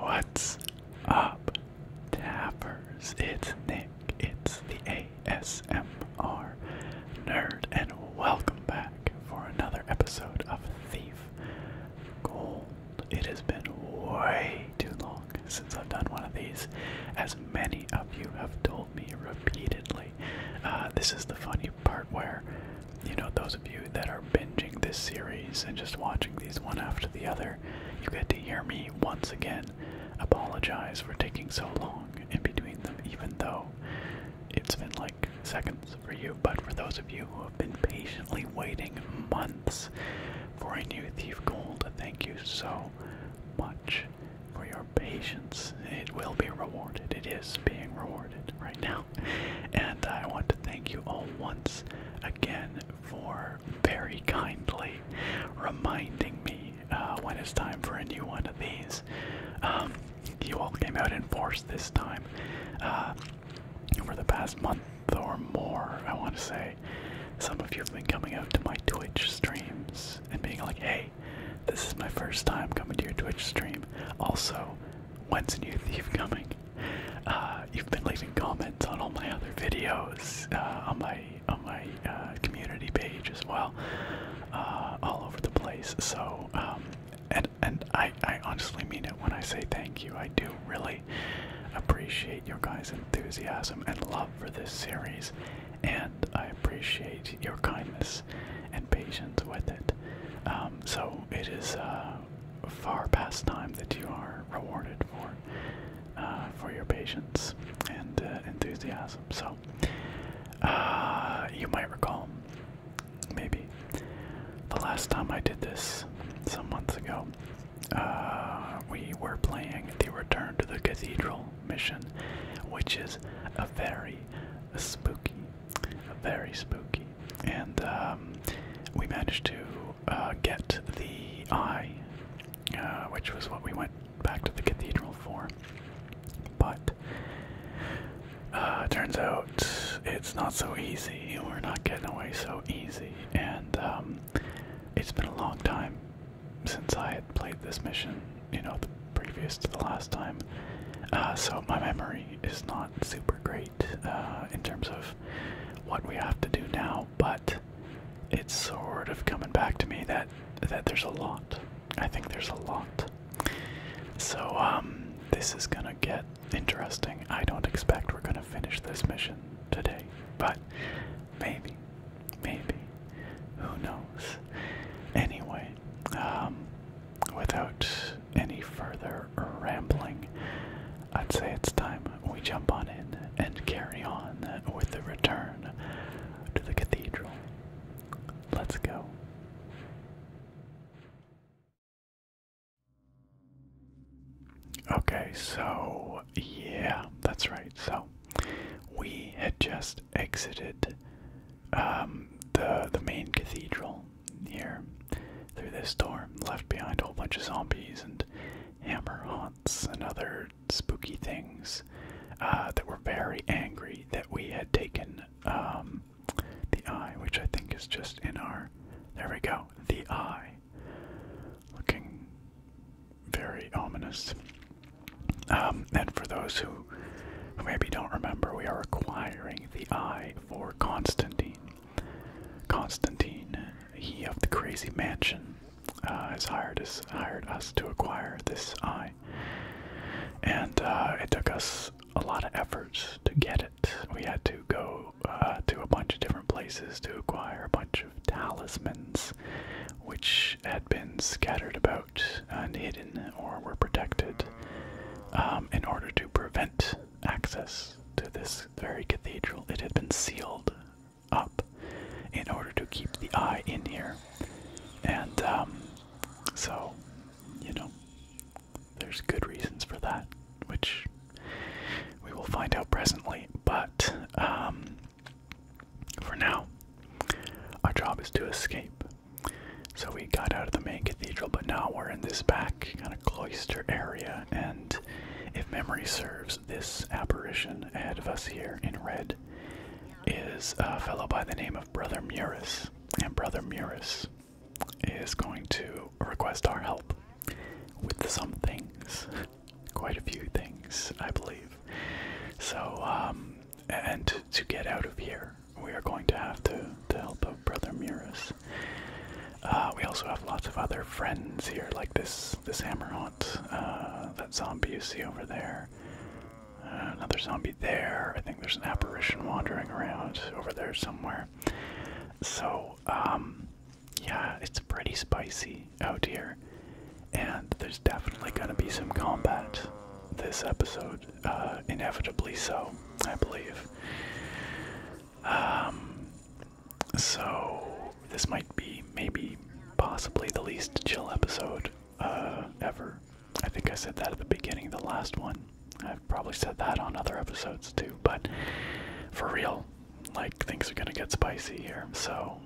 What's up, tappers? It's Nick, it's the ASMR Nerd, and welcome back for another episode of Thief Gold. It has been way too long since I've done one of these, as many of you have told me repeatedly. Uh, this is the funny part where, you know, those of you that are binging this series and just watching these one after the other, you get to hear me once again apologize for taking so long in between them, even though it's been like seconds for you, but for those of you who have been patiently waiting months for a new Thief Gold, thank you so much for your patience. It will be rewarded. It is being rewarded right now. And I want to thank you all once again for very kindly reminding me uh, when it's time for a new one of these. Um, you all came out in force this time. Uh, over the past month month or more, I want to say, some of you have been coming out to my Twitch streams and being like, hey, this is my first time coming to your Twitch stream. Also, when's a new thief coming? Uh, you've been leaving comments on all my other videos, uh, on my on my uh, community page as well, all over the place. So um, and and I I honestly mean it when I say thank you. I do really appreciate your guys' enthusiasm and love for this series, and I appreciate your kindness and patience with it. Um, so it is uh, far past time that you are rewarded for uh, for your patience and uh, enthusiasm. So you might recall maybe. The last time I did this, some months ago, uh, we were playing the Return to the Cathedral mission, which is a very spooky, very spooky, and um, we managed to uh, get the eye, uh, which was what we went back to the cathedral for. But uh, turns out it's not so easy. We're not getting away so easy, and um, it's been a long time since I had played this mission, you know, previous to the last time. Uh, so my memory is not super great uh, in terms of what we have to do now, but it's sort of coming back to me that that there's a lot. I think there's a lot. So um, this is gonna get interesting. I don't expect we're gonna finish this mission today, but maybe, maybe, who knows? Anyway, um, without any further rambling, I'd say it's time we jump on in and carry on with the return to the cathedral. Let's go. Okay, so yeah, that's right. So we had just exited um, the the main cathedral here through this door, left behind a whole bunch of zombies and hammer haunts and other spooky things uh, that were very angry that we had taken um, the eye, which I think is just in our. There we go, the eye looking very ominous. Um, and for those who, who maybe don't remember, we are acquiring the eye for Constantine. Constantine, he of the crazy mansion, uh, has hired us to acquire this eye, and uh, it took us a lot of efforts to get it. We had to go uh, to a bunch of different places to acquire a bunch of talismans, which had been scattered about and hidden or were protected um, in order to prevent access to this very cathedral. It had been sealed up in order to keep the eye in here. And um, so, you know, there's good reasons for that, which we will find out presently. But um, for now, our job is to escape. So we got out of the main cathedral, but now we're in this back kind of cloister area. And if memory serves, this apparition ahead of us here in red is a fellow by the name of Brother Muris. And Brother Muris is going to request our help with some things, quite a few things, I believe. So, um, and to, get out of here, we are going to have to, to help of Brother Muris. Uh, we also have lots of other friends here, like this this Hammerhaunt, uh, that zombie you see over there. Uh, another zombie there. I think there's an apparition wandering around over there somewhere. So, um, yeah, it's pretty spicy out oh, here. And there's definitely going to be some combat this episode, uh, inevitably so, I believe. Um, so, this might be maybe possibly the least chill episode uh, ever. I think I said that at the beginning, the last one. I've probably said that on other episodes too, but for real, like things are gonna get spicy here. So,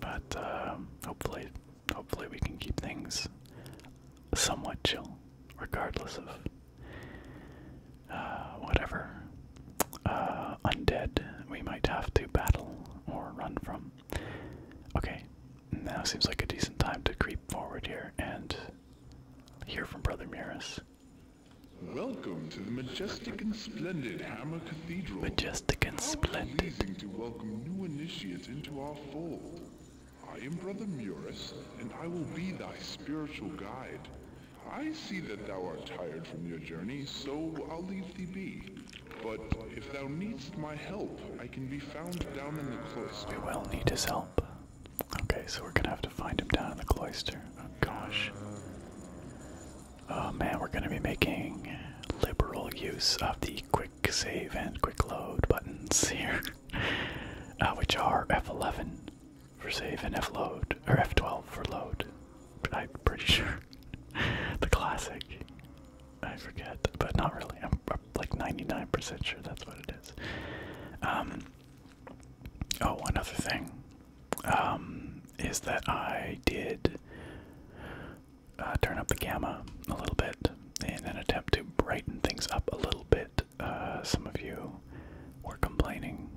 but uh, hopefully, hopefully we can keep things somewhat chill, regardless of uh, whatever uh, undead we might have to battle or run from. Okay, now seems like a decent time to creep forward here and hear from Brother Muris. Welcome to the majestic and splendid Hammer Cathedral. Majestic and splendid. to welcome new initiates into our fold. I am Brother Muris, and I will be thy spiritual guide. I see that thou art tired from your journey, so I'll leave thee be. But if thou needst my help, I can be found down in the cloister. We will need his help. Okay, so we're gonna have to find him down in the cloister. Oh gosh. Oh man, we're gonna be making liberal use of the quick save and quick load buttons here, uh, which are F11 for save and F or F12 for load. I'm pretty sure. the classic. I forget, but not really. I'm, like 99% sure that's what it is. Um, oh, one other thing um, is that I did uh, turn up the gamma a little bit in an attempt to brighten things up a little bit. Uh, some of you were complaining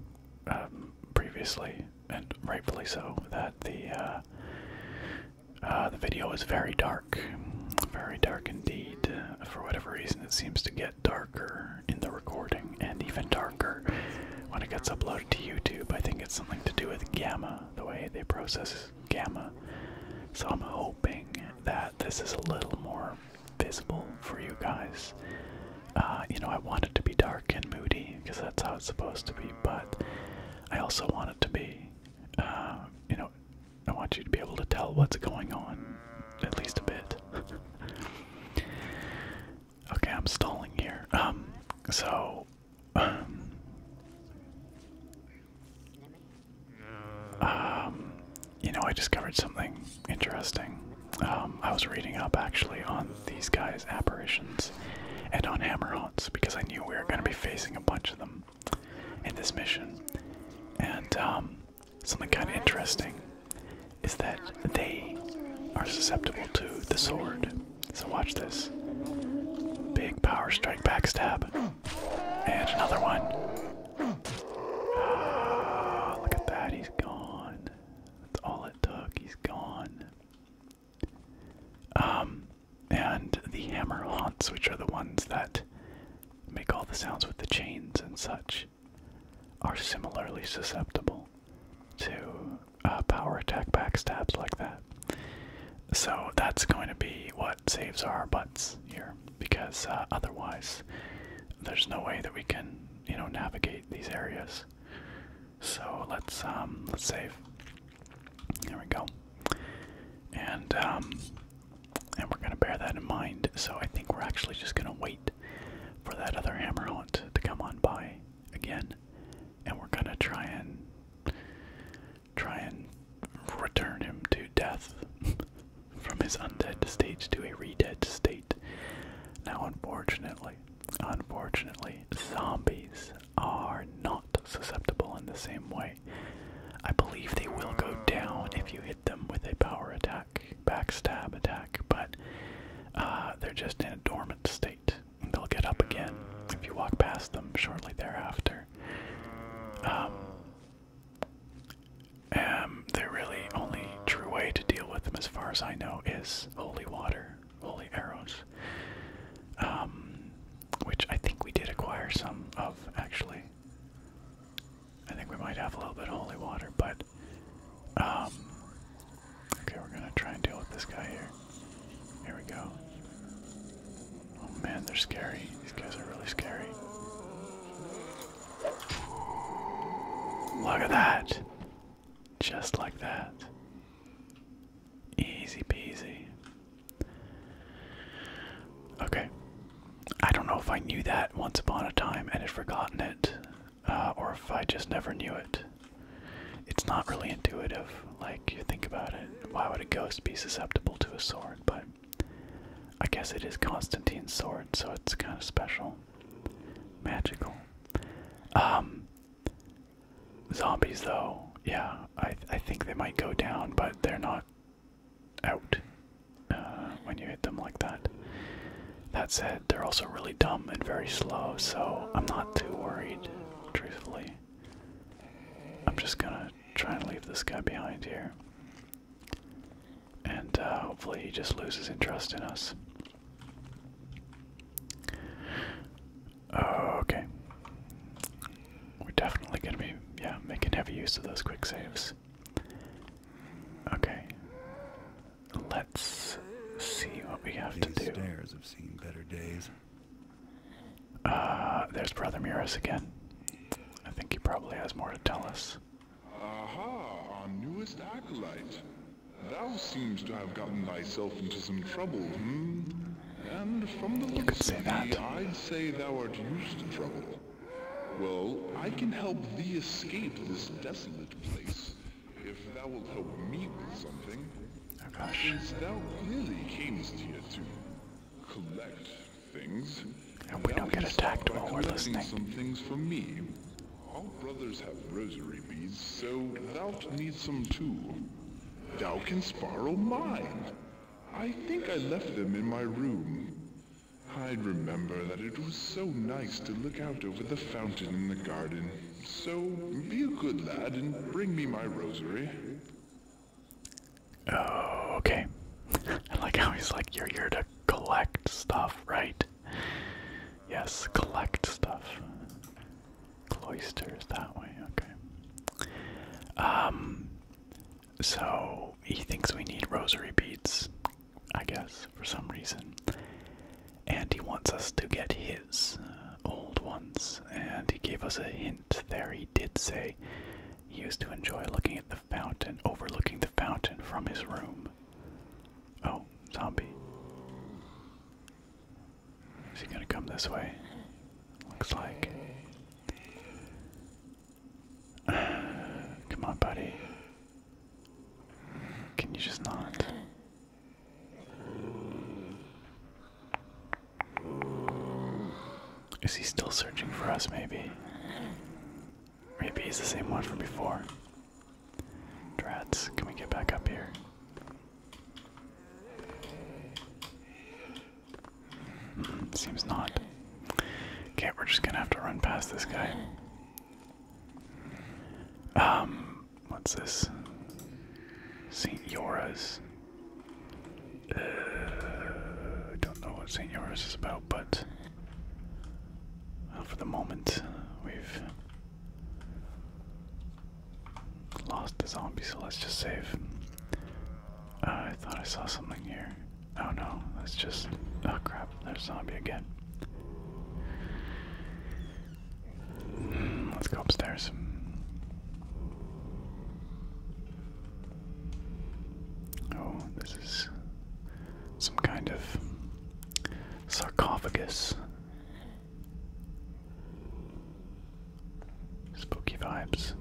um, previously, and rightfully so, that the uh, the video was very dark, very dark indeed. For whatever reason, it seems to get darker in the recording and even darker when it gets uploaded to YouTube. I think it's something to do with gamma, the way they process gamma. So I'm hoping that this is a little more visible for you guys. Uh, you know, I want it to be dark and moody because that's how it's supposed to be, but I also want it to be, uh, you know, I want you to be able to tell what's going on at least a bit. Okay, I'm stalling here. Um, so, um, you know, I discovered something interesting. Um, I was reading up actually on these guys' apparitions and on Hammerhaunts because I knew we were going to be facing a bunch of them in this mission, and um, something kind of interesting is that they are susceptible to the sword. So watch this. Big power strike backstab. And another one. Ah, look at that, he's gone. That's all it took, he's gone. Um, and the hammer hounds, which are the ones that make all the sounds with the chains and such, are similarly susceptible to uh, power attack backstabs like that. So that's going to be what saves our butts here, because uh, otherwise there's no way that we can, you know, navigate these areas. So let's um, let's save. There we go. And um, and we're gonna bear that in mind. So I think we're actually just gonna wait for that other hammer hunt to come on by again, and we're gonna try and try and return him to death from his undead state to a re-dead state. Now, unfortunately, unfortunately, zombies are not susceptible in the same way. I believe they will go down if you hit them with a power attack, backstab attack, but uh, they're just in a dormant state they'll get up again if you walk past them shortly thereafter. Um, um, the really only true way to deal with them, as far as I know, is holy water, holy arrows, um, which I think we did acquire some of, actually. I think we might have a little bit of holy water, but um, okay, we're gonna try and deal with this guy here. Here we go. Oh man, they're scary. These guys are really scary. Look at that! Just like that. Easy peasy. Okay. I don't know if I knew that once upon a time and had forgotten it. Uh, or if I just never knew it. It's not really intuitive, like you think about it. Why would a ghost be susceptible to a sword? But I guess it is Constantine's sword, so it's kind of special, magical. Um, zombies, though, yeah, I I think they might go down, but they're not out uh, when you hit them like that. That said, they're also really dumb and very slow, so I'm not too worried, truthfully. I'm just gonna try and leave this guy behind here. And uh, hopefully he just loses interest in us. Okay. We're definitely gonna be, yeah, making heavy use of those quick saves. Okay let's see what we have to do. Stairs have seen better days. Uh, there's Brother Muris again. I think he probably has more to tell us. Aha, our newest acolyte. Thou seems to have gotten thyself into some trouble, hmm? And from the you looks of thee, I'd say thou art used to trouble. Well, I can help thee escape this desolate place if thou wilt help me with something, oh, since thou really camest here to collect things, and we don't get attacked while we're listening. some things for me. All brothers have rosary beads, so thou needs some too. Thou canst borrow mine. I think I left them in my room. I'd remember that it was so nice to look out over the fountain in the garden. So be a good lad and bring me my rosary. Oh, okay. I like how he's like, you're here to collect stuff, right? Yes, collect stuff. Cloisters that way, okay. Um, so he thinks we need rosary beads, I guess, for some reason and he wants us to get his uh, old ones. And he gave us a hint there. He did say he used to enjoy looking at the fountain, overlooking the fountain from his room. Oh, zombie. Is he gonna come this way? Looks like. Come on, buddy. Can you just not? Is he still searching for us, maybe? Maybe he's the same one from before. Drats, can we get back up here? Hmm, seems not. Okay, we're just gonna have to run past this guy. Um, what's this? St. Yora's. Uh, don't know what St. Yora's is about, but for the moment, we've lost the zombie, so let's just save. Uh, I thought I saw something here. Oh no, that's just. Oh crap, there's a zombie again. Let's go upstairs. Oh, this is some kind of sarcophagus. Spooky vibes.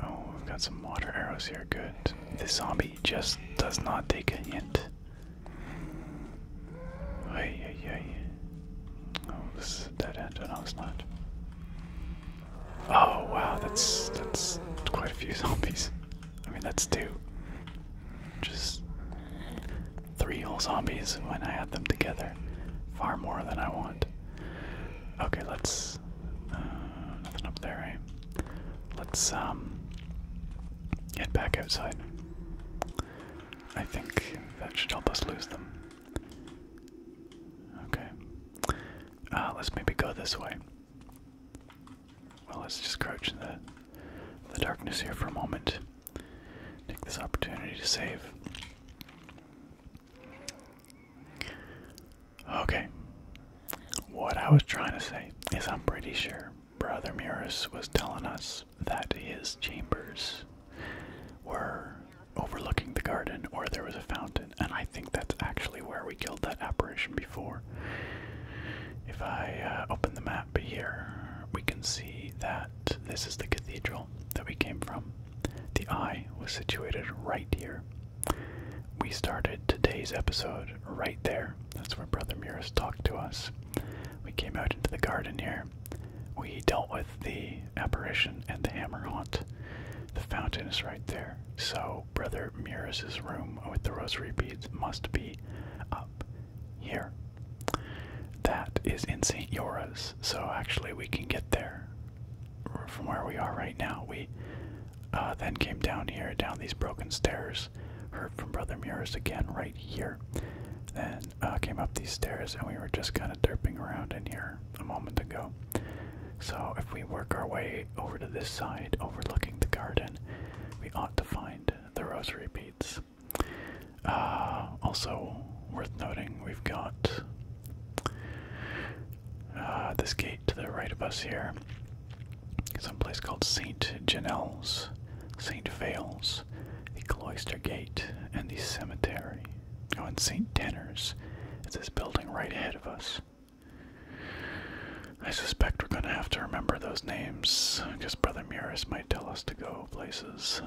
Oh, we've got some water arrows here. Good. This zombie just does not take a hint. Ay, ay, ay. Oh, this is a dead end. Oh, no, it's not. Oh, wow, that's that's quite a few zombies. I mean, that's two. Just three whole zombies when I add them together. Far more than I want. Okay, let's. Uh, nothing up there, right? Let's um. Get back outside. I think that should help us lose them. Okay. Ah, let's maybe go this way. Well, let's just crouch in the, the darkness here for a moment. Take this opportunity to save. Okay. What I was trying to say is I'm pretty sure Brother Muris was telling us that his chambers were overlooking the garden or there was a fountain, and I think that's actually where we killed that apparition before. If I uh, open the map here, we can see that this is the cathedral that we came from. The eye was situated right here. We started today's episode right there. That's where Brother Muris talked to us. We came out into the garden here. We dealt with the apparition and the hammer haunt. The fountain is right there. So Brother Muris's room with the rosary beads must be up here. That is in St. Yora's, so actually we can get there from where we are right now. We uh, then came down here, down these broken stairs, heard from Brother Muris again right here, and uh, came up these stairs, and we were just kind of derping around in here a moment ago. So if we work our way over to this side, overlooking the garden, we ought to find the rosary beads. Uh, also worth noting, we've got uh, this gate to the right of us here someplace called St. Janelles, St. Vales, the Cloister Gate, and the cemetery. Oh, and St. Tanner's It's this building right ahead of us. I suspect we're gonna have to remember those names, because Brother Muris might tell us to go places.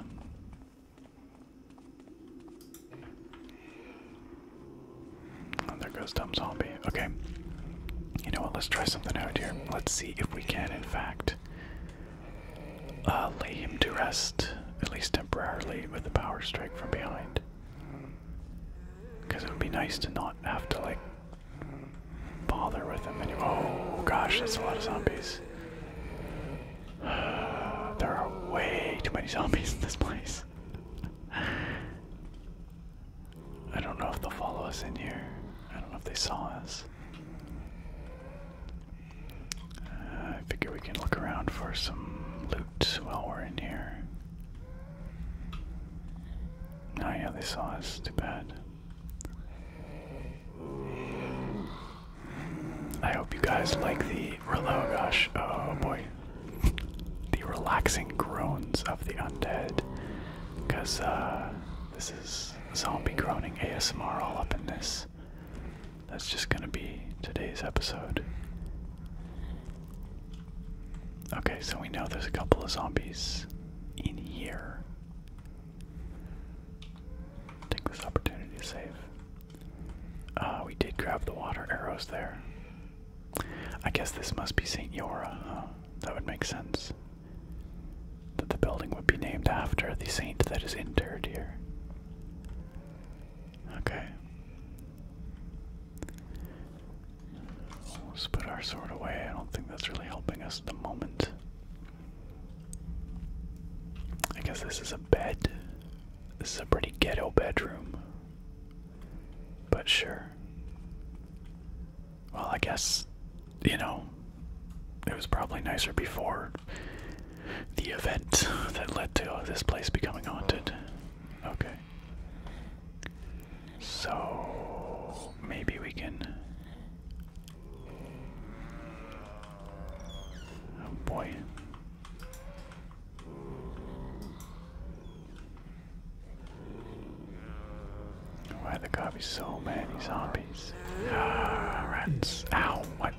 Oh, there goes Dumb Zombie. Okay. You know what? Let's try something out here. Let's see if we can, in fact, uh, lay him to rest, at least temporarily, with a power strike from behind. Because it would be nice to not have to, like, bother with him anymore. Oh gosh, that's a lot of zombies. there are way too many zombies in this place. I don't know if they'll follow us in here. I don't know if they saw us. Uh, I figure we can look around for some loot while we're in here. Oh yeah, they saw us. Too bad. I hope you guys like the oh gosh, oh boy, the relaxing groans of the undead, because uh, this is zombie groaning ASMR all up in this. That's just gonna be today's episode. Okay, so we know there's a couple of zombies in here. Take this opportunity to save. Uh, we did grab the water arrows there. I guess this must be St. Yora, That would make sense that the building would be named after the saint that is interred here. Okay. Let's put our sword away. I don't think that's really helping us at the moment. I guess this is a bed. This is a pretty ghetto bedroom. But sure. Well, I guess, you know, it was probably nicer before the event that led to this place becoming haunted. Okay. So, maybe we can. Oh boy. Why there gotta be so many zombies? Ah, Ow, what?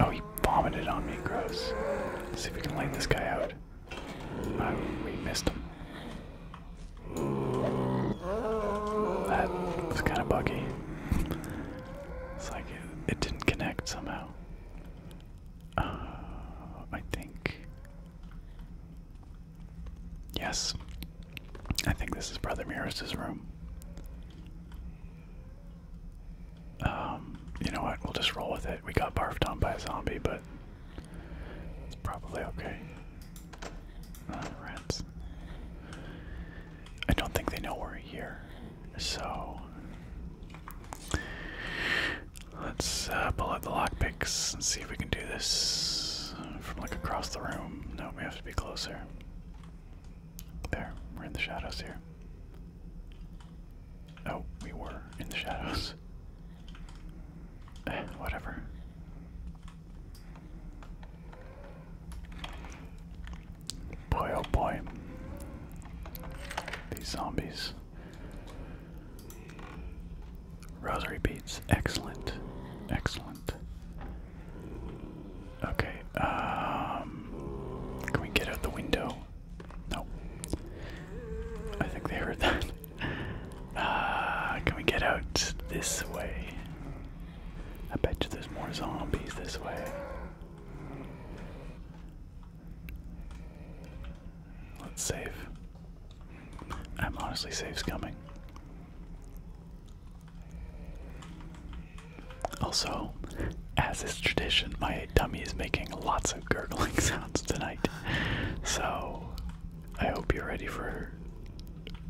Oh, he vomited on me, gross. see if we can light this guy out. Uh, we missed him. That was kind of buggy. It's like it, didn't connect somehow. Ah, I think. Yes. I think this is Brother Mirrors' room. Um, you know what? We'll just roll with it. We got barfed on by a zombie, but it's probably okay. Uh, rats. I don't think they know we're here, so let's uh, pull out the lockpicks and see if we can do this from like across the room. No, we have to be closer. There, we're in the shadows here. Oh, we were in the shadows. Eh, whatever. Boy, oh boy. These zombies. Rosary beads. Excellent. Excellent. Okay, um, Can we get out the window? No. I think they heard that. Uh, can we get out this way? I bet you there's more zombies this way. Let's save. I'm honestly save's coming. Also, as is tradition, my dummy is making lots of gurgling sounds tonight. So, I hope you're ready for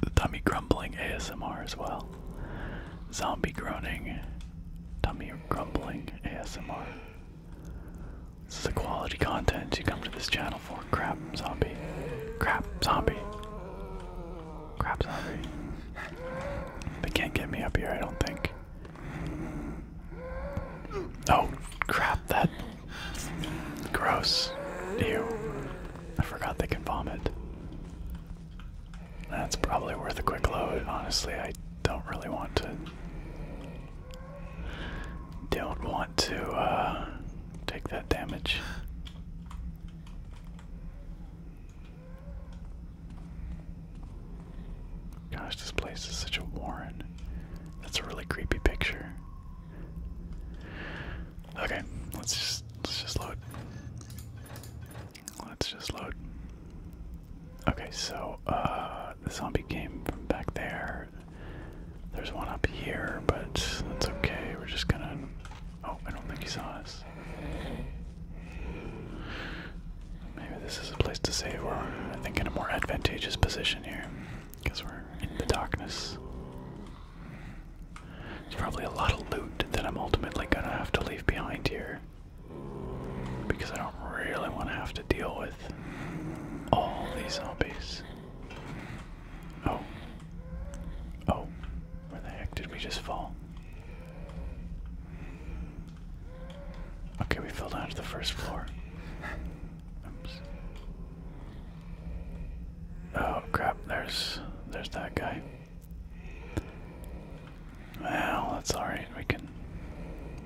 the dummy grumbling ASMR as well. Zombie groaning, dummy grumbling ASMR. This is the quality content you come to this channel for crap, zombie. Crap, zombie. Crap, zombie. They can't get me up here, I don't think. Oh crap, that. Gross. Ew. I forgot they can vomit. That's probably worth a quick load. Honestly, I don't really want to. Don't want to uh, take that damage. Gosh, this place is such a warren. That's a really creepy picture. Okay, let's just let's just load. Let's just load. Okay, so uh the zombie came from back there. There's one up here, but that's okay. We're just gonna Oh, I don't think he saw us. Maybe this is a place to save. We're, I think, in a more advantageous position here because we're in the darkness. There's probably a lot of loot that I'm ultimately going to have to leave behind here because I don't really want to have to deal with all these zombies. Oh. Oh. Where the heck did we just fall? Okay, we fell down to the first floor. Oh crap, there's there's that guy. Well, that's alright, we can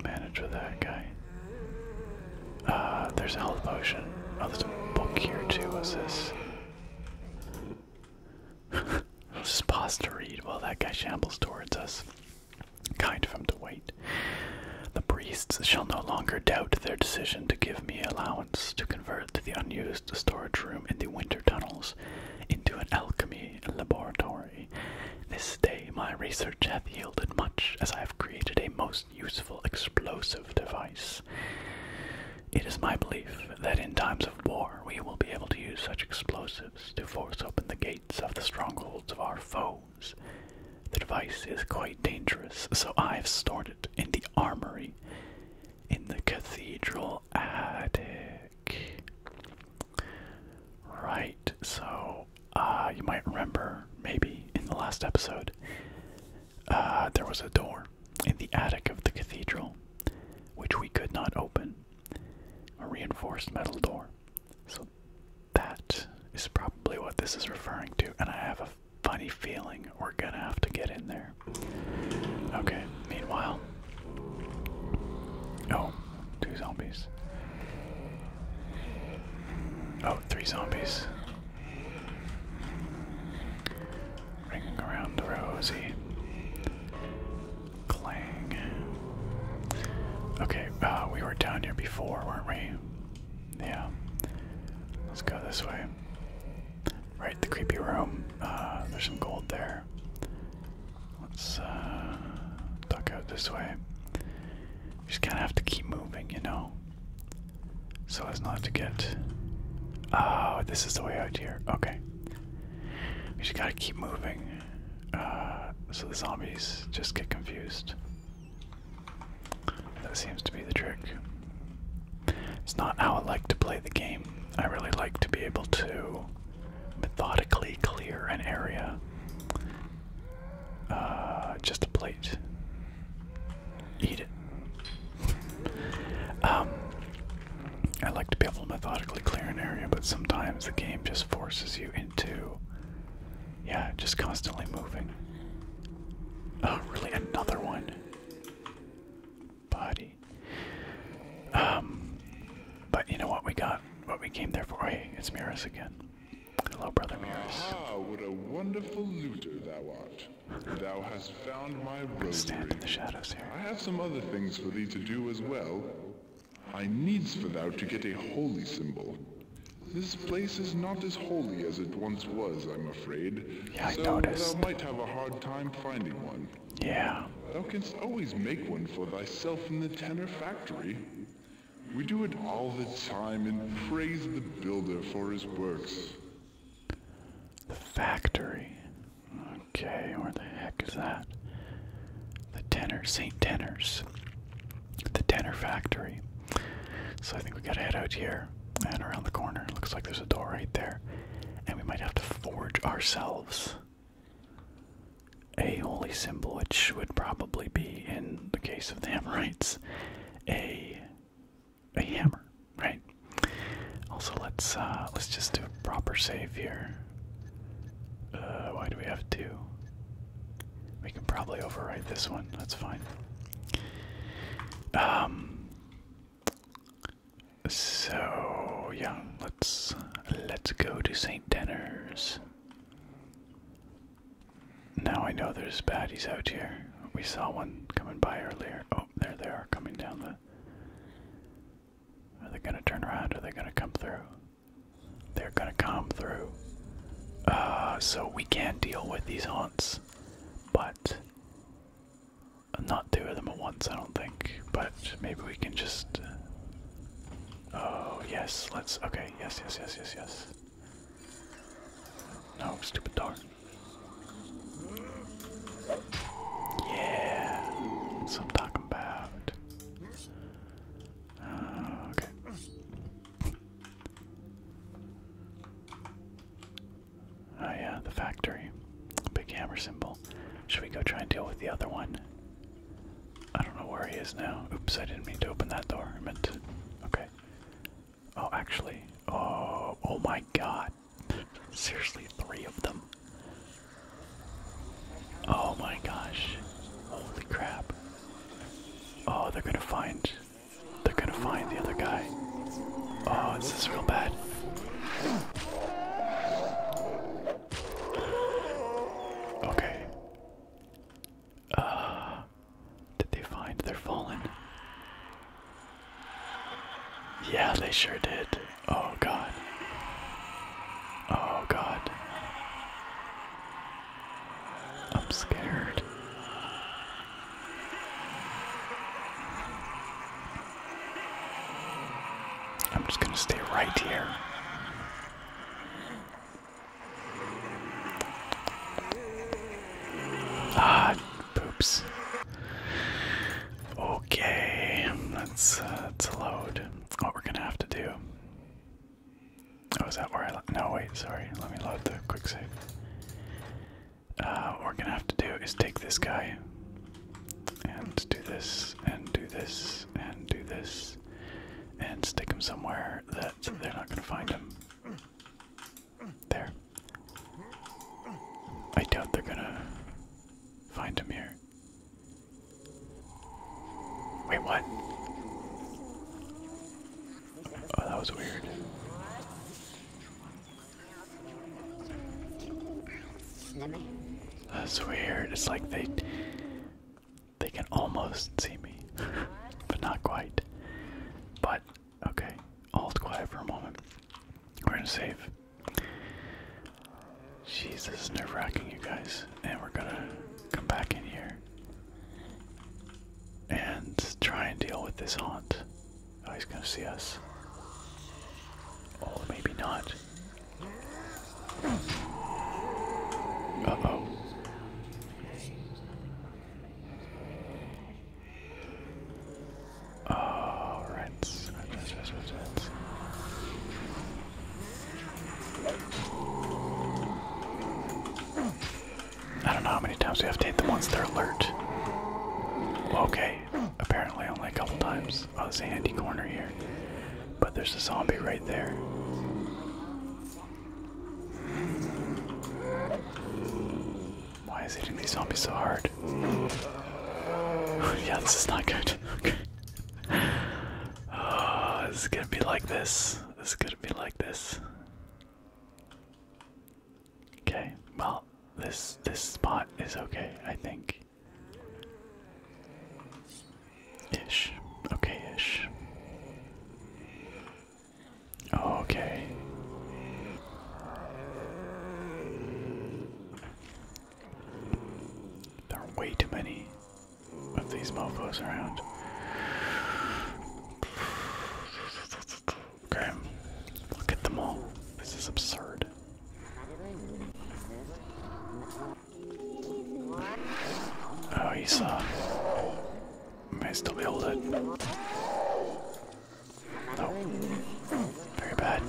manage with that guy. Uh there's a health potion. Oh there's a book here too, what's this? I'll just pause to read while that guy shambles towards us. Kind of him to wait. The priests shall no longer doubt their decision to give me allowance to convert the unused storage room in the winter tunnels into an alchemy laboratory. This day my research hath yielded much, as I have created a most useful explosive device it is my belief that in times of war we will be able to use such explosives to force open the gates of the strongholds of our foes. The device is quite dangerous, so I've stored it in the armory in the cathedral attic. Right, so uh, you might remember maybe in the last episode uh, there was a door in the attic of the cathedral, which we could not open. A reinforced metal door. So that is probably what this is referring to, and I have a funny feeling we're gonna have to get in there. Okay, meanwhile. Oh, two zombies. Oh, three zombies. Ringing around the rosy. Clang. Okay, uh, we were down here before, weren't we? Yeah. Let's go this way. Right, the creepy room. Uh, there's some gold there. Let's uh, duck out this way. You just kind of have to keep moving, you know? so as not to get. Oh, this is the way out here. Okay. We just gotta keep moving. Uh, so the zombies just get confused. That seems to be the trick. It's not how I like to play the game. I really like to be able to methodically clear an area. Uh, just a plate eat it. um, I like to be able to methodically clear an area, but sometimes the game just forces you into, yeah, just constantly moving. Oh, really? Another one? Body. Um, but you know what we got? What we came there for? Oh, hey, it's Mirus again. Hello, brother Mirus. Ah, what a wonderful looter thou art. Thou hast found my rosary. Stand in the shadows here. I have some other things for thee to do as well. I needs for thou to get a holy symbol. This place is not as holy as it once was, I'm afraid. Yeah, I so noticed. thou might have a hard time finding one. Yeah. Thou canst always make one for thyself in the tenor factory. We do it all the time and praise the builder for his works. The factory. Okay, where the heck is that? The Tenor, St. Tenors. The Tenor Factory. So I think we gotta head out here and around the corner. Looks like there's a door right there. And we might have to forge ourselves a holy symbol, which would probably be, in the case of the Amorites, a a hammer, right? Also, let's uh, let's just do a proper save here. Uh, why do we have two? We can probably overwrite this one. That's fine. Um. So yeah, let's let's go to Saint Denner's. Now I know there's baddies out here. We saw one coming by earlier. Oh, there they are coming down the are they gonna turn around? Are they gonna come through? They're gonna come through. Uh, so we can deal with these haunts, but not two of them at once, I don't think. But maybe we can just. Uh, oh yes, let's. Okay, yes, yes, yes, yes, yes. No, stupid dog. Yeah, that's I'm talking about. Oh, okay. Oh yeah, the factory. Big hammer symbol. Should we go try and deal with the other one? I don't know where he is now. Oops, I didn't mean to open that door. I meant to. Okay. Oh, actually. Oh, oh my god. Seriously, three of them. Oh my gosh. Holy crap. Oh, they're gonna find. They're gonna find the other guy. Oh, this is real bad. Okay. Uh. Did they find their fallen? Yeah, they sure did. Oh god. Oh god. I'm scared. I'm just gonna stay right here. Ah, poops. Okay, let's, let's uh, load what we're gonna have to do. Oh, is that where I. No, wait, sorry. Let me load the quick save. Uh, what we're gonna have to do is take this guy and do this and do this and do this and stick him somewhere that they're not gonna find him. There. I doubt they're gonna Find him here. Wait, what? Oh, that was weird. That's weird. It's like they they can almost see me, but not quite. But okay, all quiet for a moment. We're in safe. Jesus, nerve wracking, you guys. And we're gonna come back in here and try and deal with this haunt. Oh, he's gonna see us. Oh, maybe not. Uh oh. Oh, I don't know how many times we have to hit them once they're alert. Okay, apparently only a couple times. Oh, there's a handy corner here. But there's a zombie right there. Why is hitting these zombies so hard? yeah, this is not good. Okay. Oh, this is gonna be like this. This is gonna be like this. Okay, well, this this spot is okay, I think. Ish. Okay, ish. Okay. There are way too many of these mofos around. Okay, look at them all. This is absurd. Oh, he saw. May still be able No. Oh. Very bad.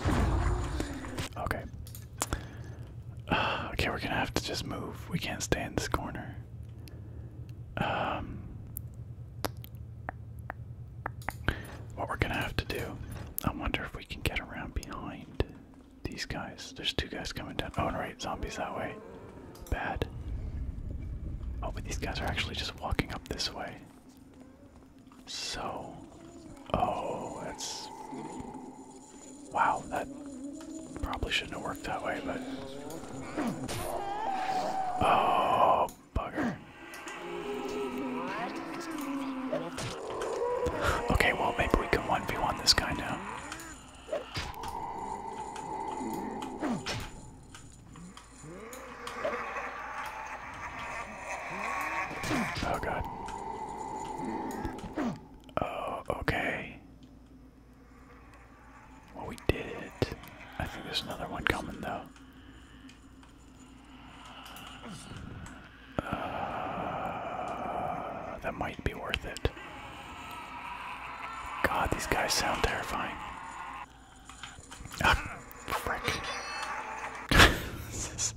Okay. okay, we're gonna have to just move. We can't stay in this corner. Um, what we're gonna have to do? I wonder if we can get around behind these guys. There's two guys coming down. Oh, right, zombies that way. Bad. Oh, but these guys are actually just walking up this way. So, oh, it's wow. That probably shouldn't have worked that way, but oh, bugger. Okay, well maybe we can 1v1 this guy now. Oh god. Oh, okay. Well, we did it. I think there's another one coming, though. Uh, that might be worth it. God, these guys sound terrifying. Ah, frick. this is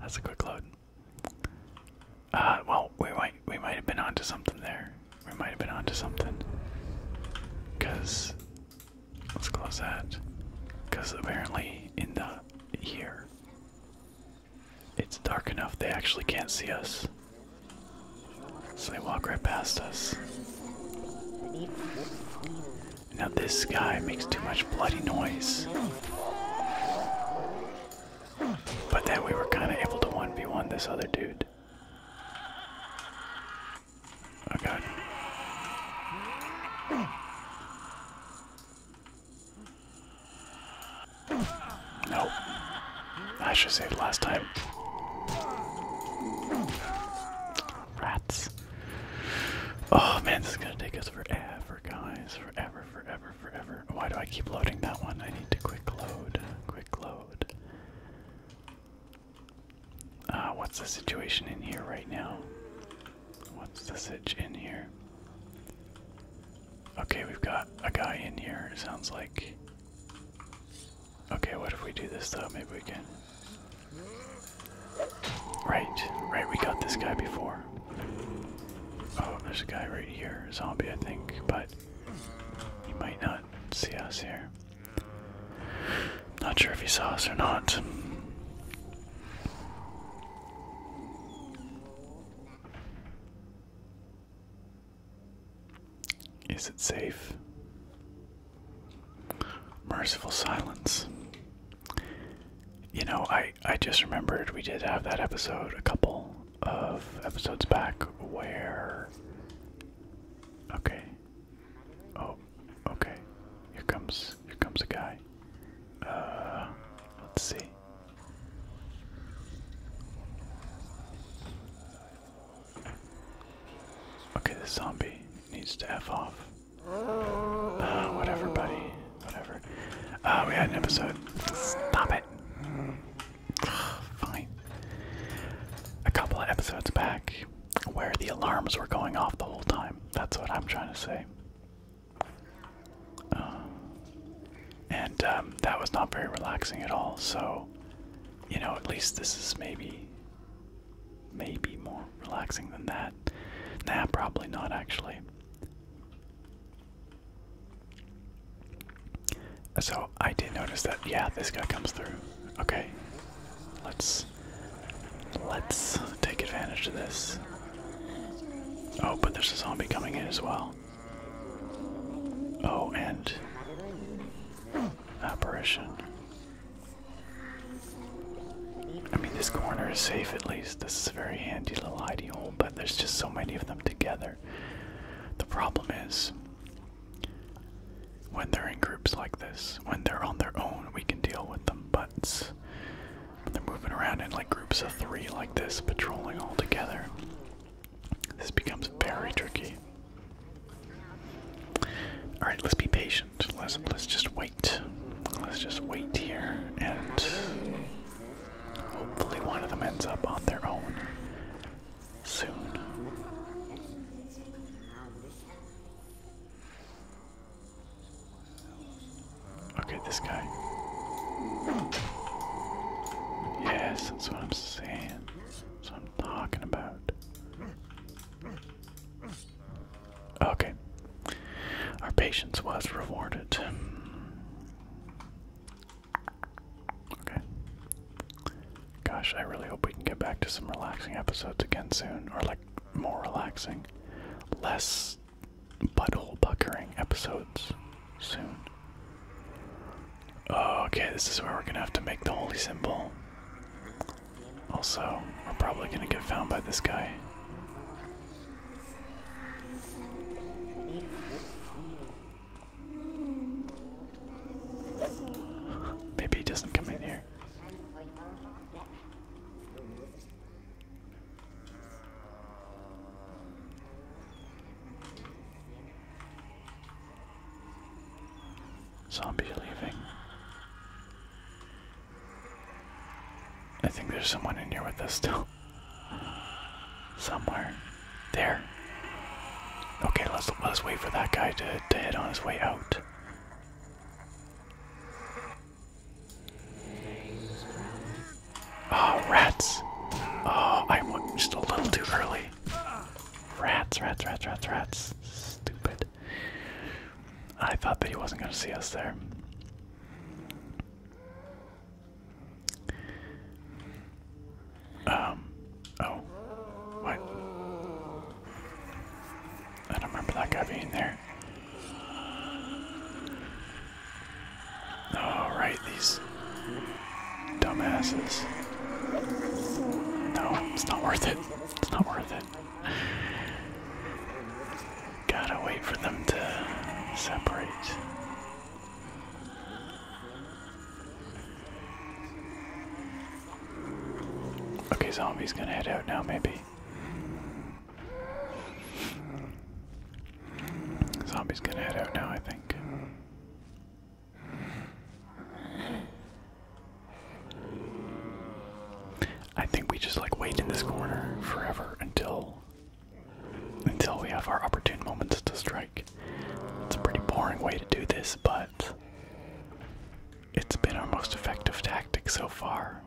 that's a quick load. Uh, well, we might we might have been onto something there. We might have been onto something. Cause let's close that. Cause apparently in the here it's dark enough they actually can't see us. So they walk right past us. Now this guy makes too much bloody noise. But then we were kind of able to 1v1 this other dude. Oh god. Nope. I should saved last time. Rats. Oh man, this is gonna take us forever, guys. Forever, forever, forever. Why do I keep loading that one? I need to quick load. Quick load. Uh, what's the situation in here right now? What's the sitch in here? Okay, we've got a guy in here, sounds like. Okay, what if we do this though? Maybe we can. Right, right, we got this guy before. Oh, there's a guy right here, zombie, I think, but he might not see us here. Not sure if he saw us or not. Is it safe? Merciful silence you know, I I just remembered we did have that episode a couple of episodes back where. Okay. Oh, okay. Here comes here comes a guy. Uh, let's see. Okay, this zombie needs to f off. Oh whatever, buddy. Whatever. Oh, we had an episode. Stop it. Fine. A couple of episodes back where the alarms were going off the whole time. That's what I'm trying to say. Uh, and um, that was not very relaxing at all, so, you know, at least this is maybe. Maybe more relaxing than that. Nah, probably not actually. So I did notice that yeah, this guy comes through. Okay. Let's let's take advantage of this. Oh, but there's a zombie coming in as well. Oh, and apparition. I mean, this corner is safe at least. This is a very handy little hidey hole, but there's just so many of them together. The problem is, when they're in groups like this, when they're on their own, we can deal with them, but when they're moving around in like groups of three like this, patrolling all together, this becomes very tricky. All right, let's be patient. Let's let's just wait. Let's just wait here and hopefully one of them ends up on their own soon. Okay, this guy. Yes, that's what I'm saying. That's what I'm talking about. Okay. Our patience was rewarded. Okay. Gosh, I really hope we can get back to some relaxing episodes again soon. Or, like, more relaxing. Less butt butthole puckering episodes soon. Okay, this is where we're gonna have to make the holy symbol. Also, we're probably gonna get found by this guy. Maybe doesn't come in here. Zombies leaving. I think there's someone in here with us still. Somewhere. There. Okay, let's let's wait for that guy to, to head on his way out. Oh, rats. Oh, I am just a little too early. Rats, rats, rats, rats, rats. Stupid. I thought that he wasn't gonna see us there. Um. Oh. What? I don't remember that guy being there. Alright, oh, these dumbasses. No, it's not worth it. It's not worth it. Gotta wait for them to separate. Okay, zombie's gonna head out now, maybe. Zombie's gonna head out now, I think. I think we just like wait in this corner forever until until we have our opportune moments to strike. It's a pretty boring way to do this, but it's been our most effective tactic so far.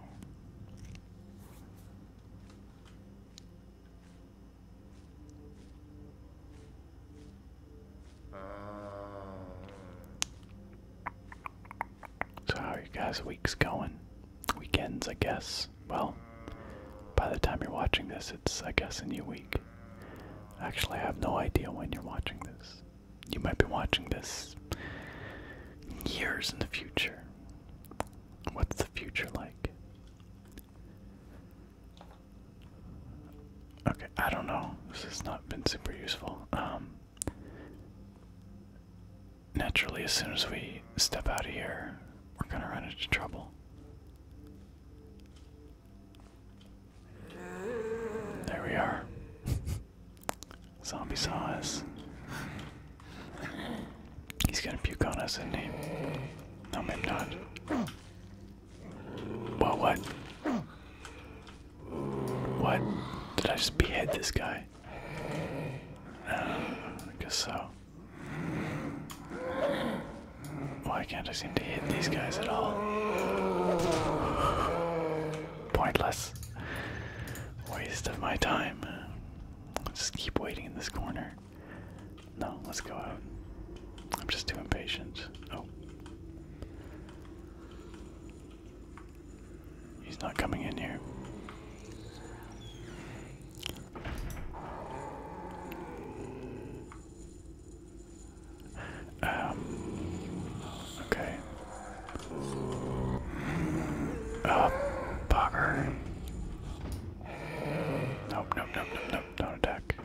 So how are you guys' weeks going? weekends, I guess. Well, by the time you're watching this, it's, I guess, a new week. Actually, I have no idea when you're watching this. You might be watching this years in the future. What's the future like? Okay, I don't know. This has not been super useful. Um, naturally, as soon as we step out of here, we're gonna run into trouble. There we are. Zombie saw us. He's gonna puke on us, and not he? No, maybe not. Well, what? What? Did I just behead this guy? Uh, I guess so. Why can't I seem to hit these guys at all? Pointless. Waste of my time. just keep waiting in this corner. No, let's go out. I'm just too impatient. Oh. He's not coming in here. Um, okay. Uh, bugger. Nope, nope, nope, nope, don't attack.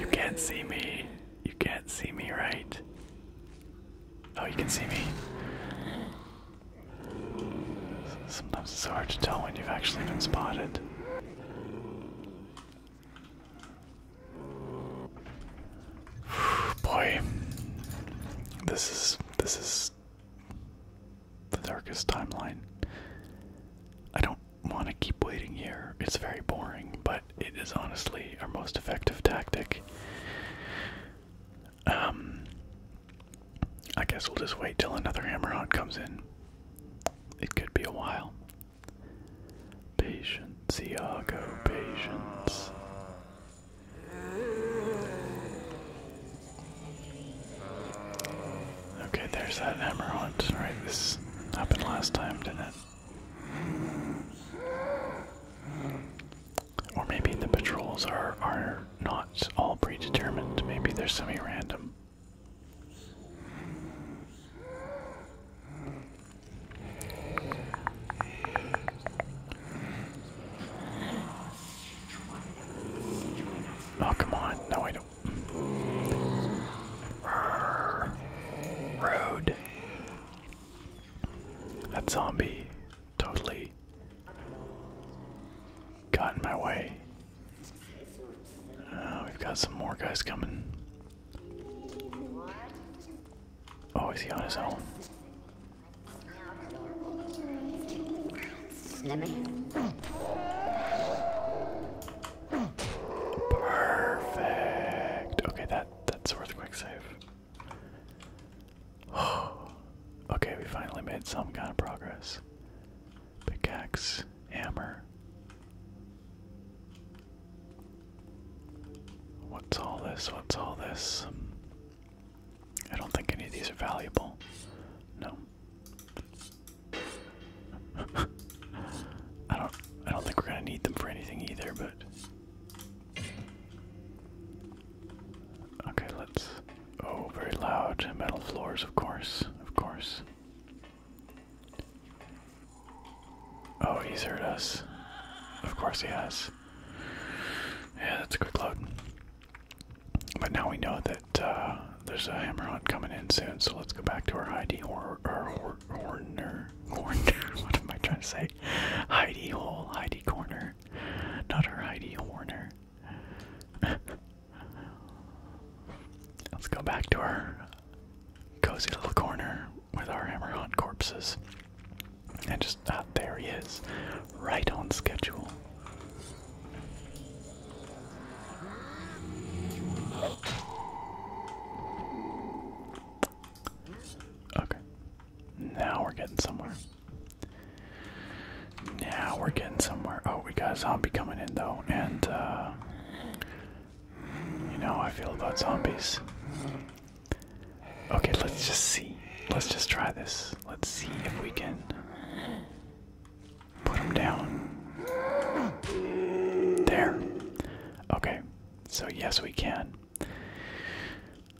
you can't see me. You can't see me, right? Oh, you can see me. Sometimes it's hard to tell when you've actually been spotted. Boy, this is this is the darkest timeline. I don't want to keep waiting here. It's very boring, but it is honestly our most effective tactic. Um, I guess we'll just wait till another hammer comes in. It could be a while. Patience, Iago, patience. Okay, there's that hammer Right, this happened last time, didn't it? Or maybe the patrols are, are not all predetermined, maybe they're semi random. Oh, come on. No, I don't. Road. That zombie totally got in my way. Uh, we've got some more guys coming. Oh, is he on his own? Perfect. Okay, that that's worth quick save. okay, we finally made some kind of progress. Pickaxe, hammer. What's all this? What's all this? I don't think any of these are valuable. No. I don't I don't think we're gonna need them for anything either, but Okay, let's. Oh, very loud. Metal floors, of course. Of course. Oh, he's heard us. Of course he has. Yeah, that's a good load. But now we know that uh, there's a hammer hunt coming in soon, so let's go back to our ID or our or Horner? What am I trying to say? Heidi Hole, Heidi Corner, not her Heidi Horner. Let's go back to our cozy little corner with our hammer on corpses. And just, ah, there he is, right on schedule. Okay. Now we're getting somewhere. Now we're getting somewhere. Oh, we got a zombie coming in though, and uh, you know how I feel about zombies. Okay, let's just see. Let's just try this. Let's see if we can put him down. There. Okay, so yes, we can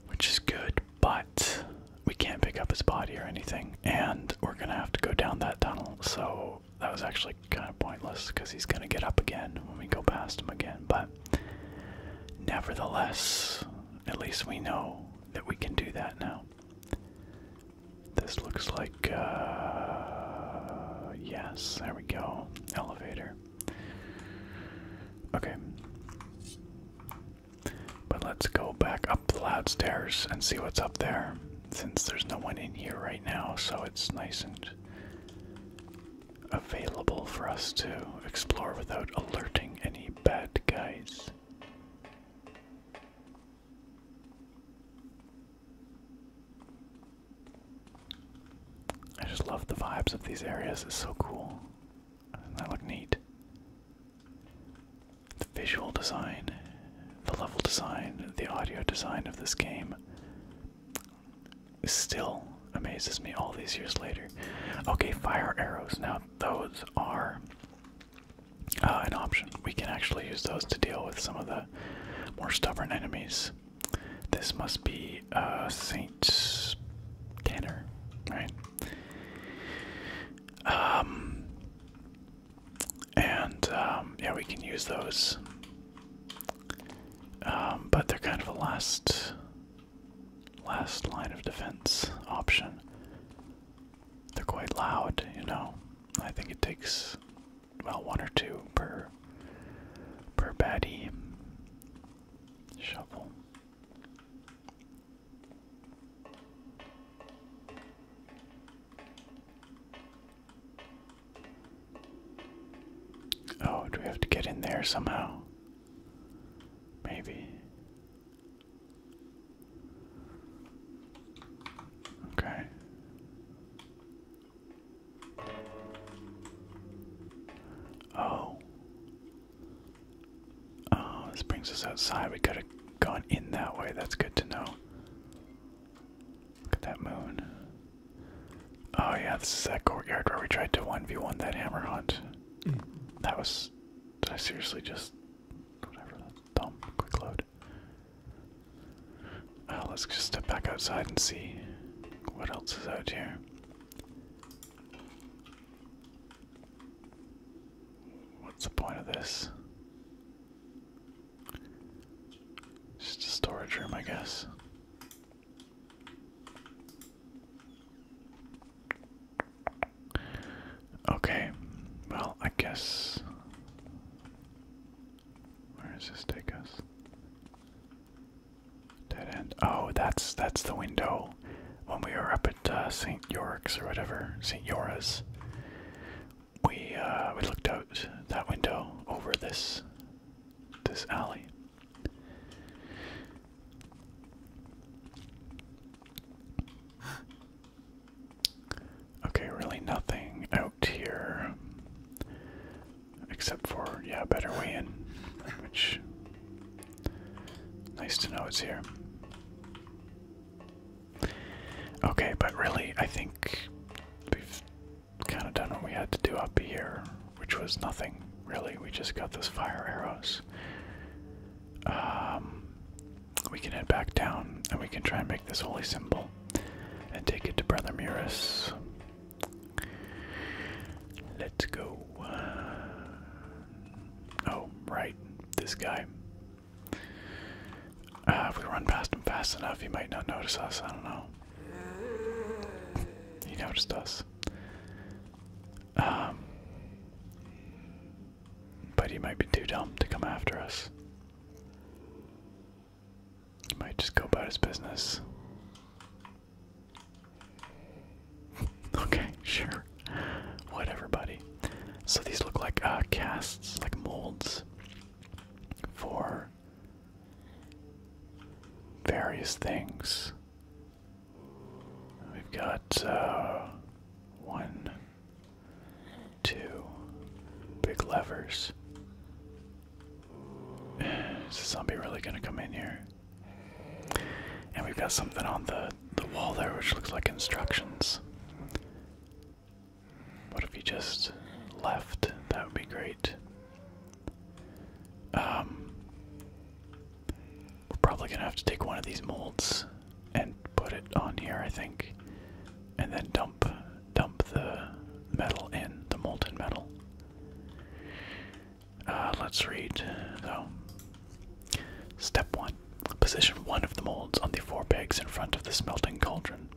which is good, but we can't pick up his body or anything, and we're gonna have to go down that tunnel. So that was actually kind of pointless because he's gonna get up again when we go past him again. But nevertheless, at least we know that we can do that now. This looks like, uh, yes, there we go. Elevator. Okay. But let's go back up the loud stairs and see what's up there. Since there's no one in here right now, so it's nice and available for us to explore without alerting any bad guys. I just love the vibes of these areas, it's so cool that look neat? The visual design, the level design, the audio design of this game still amazes me all these years later. Okay, fire arrows. Now, those are uh, an option. We can actually use those to deal with some of the more stubborn enemies. This must be uh, Saint Tanner, right? Um, and um, yeah, we can use those. Um, but they're kind of a last, last line of defense option. They're quite loud, you know. I think it takes about one or two per per baddie shovel. Oh, do we have to get in there somehow? Maybe. Okay. Oh. Oh, this brings us outside. We could have gone in that way. That's good to know. Look at that moon. Oh, yeah, this is that courtyard where we tried to 1v1 that hammer hunt. That was. I seriously just. Whatever, that's dumb. Quick load. Oh, let's just step back outside and see what else is out here. What's the point of this? Just a storage room, I guess. Okay, well, I guess. Where does this take us? Dead Oh, that's that's the window when we were up at uh, St. York's or whatever, St. Yora's. We uh, we looked out that window over this this alley. Okay, really nothing out here except for yeah, better way in, which Nice to know it's here. Okay, but really, I think we've kind of done what we had to do up here, which was nothing, really. We just got those fire arrows. Um, we can head back down and we can try and make this holy symbol and take it to Brother Muris. To go. Uh, oh, right. This guy. Uh, if we run past him fast enough, he might not notice us. I don't know. He noticed us. Um, but he might be too dumb to come after us. He might just go about his business. Okay, sure. Whatever, buddy. So these look like uh, casts, like molds for various things. We've got uh, one, two big levers. Is the zombie really gonna come in here? And we've got something on the the wall there which looks like instructions. What if we just left? That would be great. Um We're probably gonna have to take one of these molds and put it on here, I think. And then dump dump the metal in, the molten metal. Uh, let's read, though. Step 1. Position one of the molds on the four pegs in front of the smelting cauldron.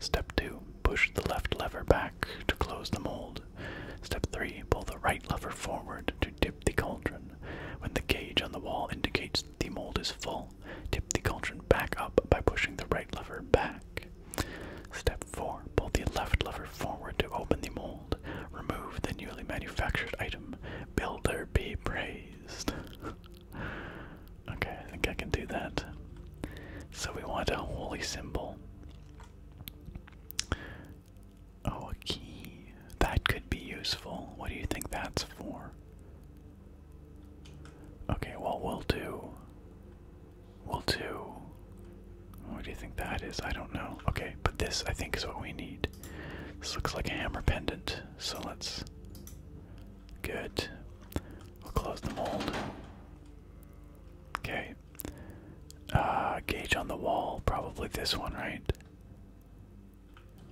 Step 2. Push the left lever back to close the mold. Step 3. Pull the right lever forward to dip the cauldron. When the gauge on the wall indicates the mold is full, dip the cauldron back up by pushing the right lever back. Step 4. Pull the left lever forward to open the mold. Remove the newly manufactured item. Builder be praised. okay, I think I can do that. So we want a holy symbol. Oh, a key. That could be useful. What do you think that's for? Okay, well, we'll do. We'll do. What do you think that is? I don't know. Okay, but this I think is what we need. This looks like a hammer pendant, so let's. Good. We'll close the mold. Okay. Uh, gauge on the wall, probably this one, right?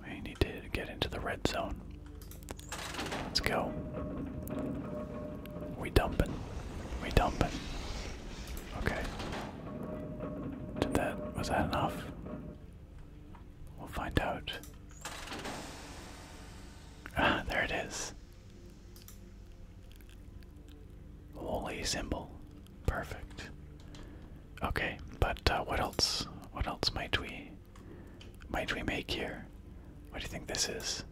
We need to get into the red zone. Let's go. We dumping. We dumping. Okay. Did that was that enough? We'll find out. Ah, there it is. Holy symbol. Perfect. Okay, but uh, what else? What else might we might we make here? What do you think this is?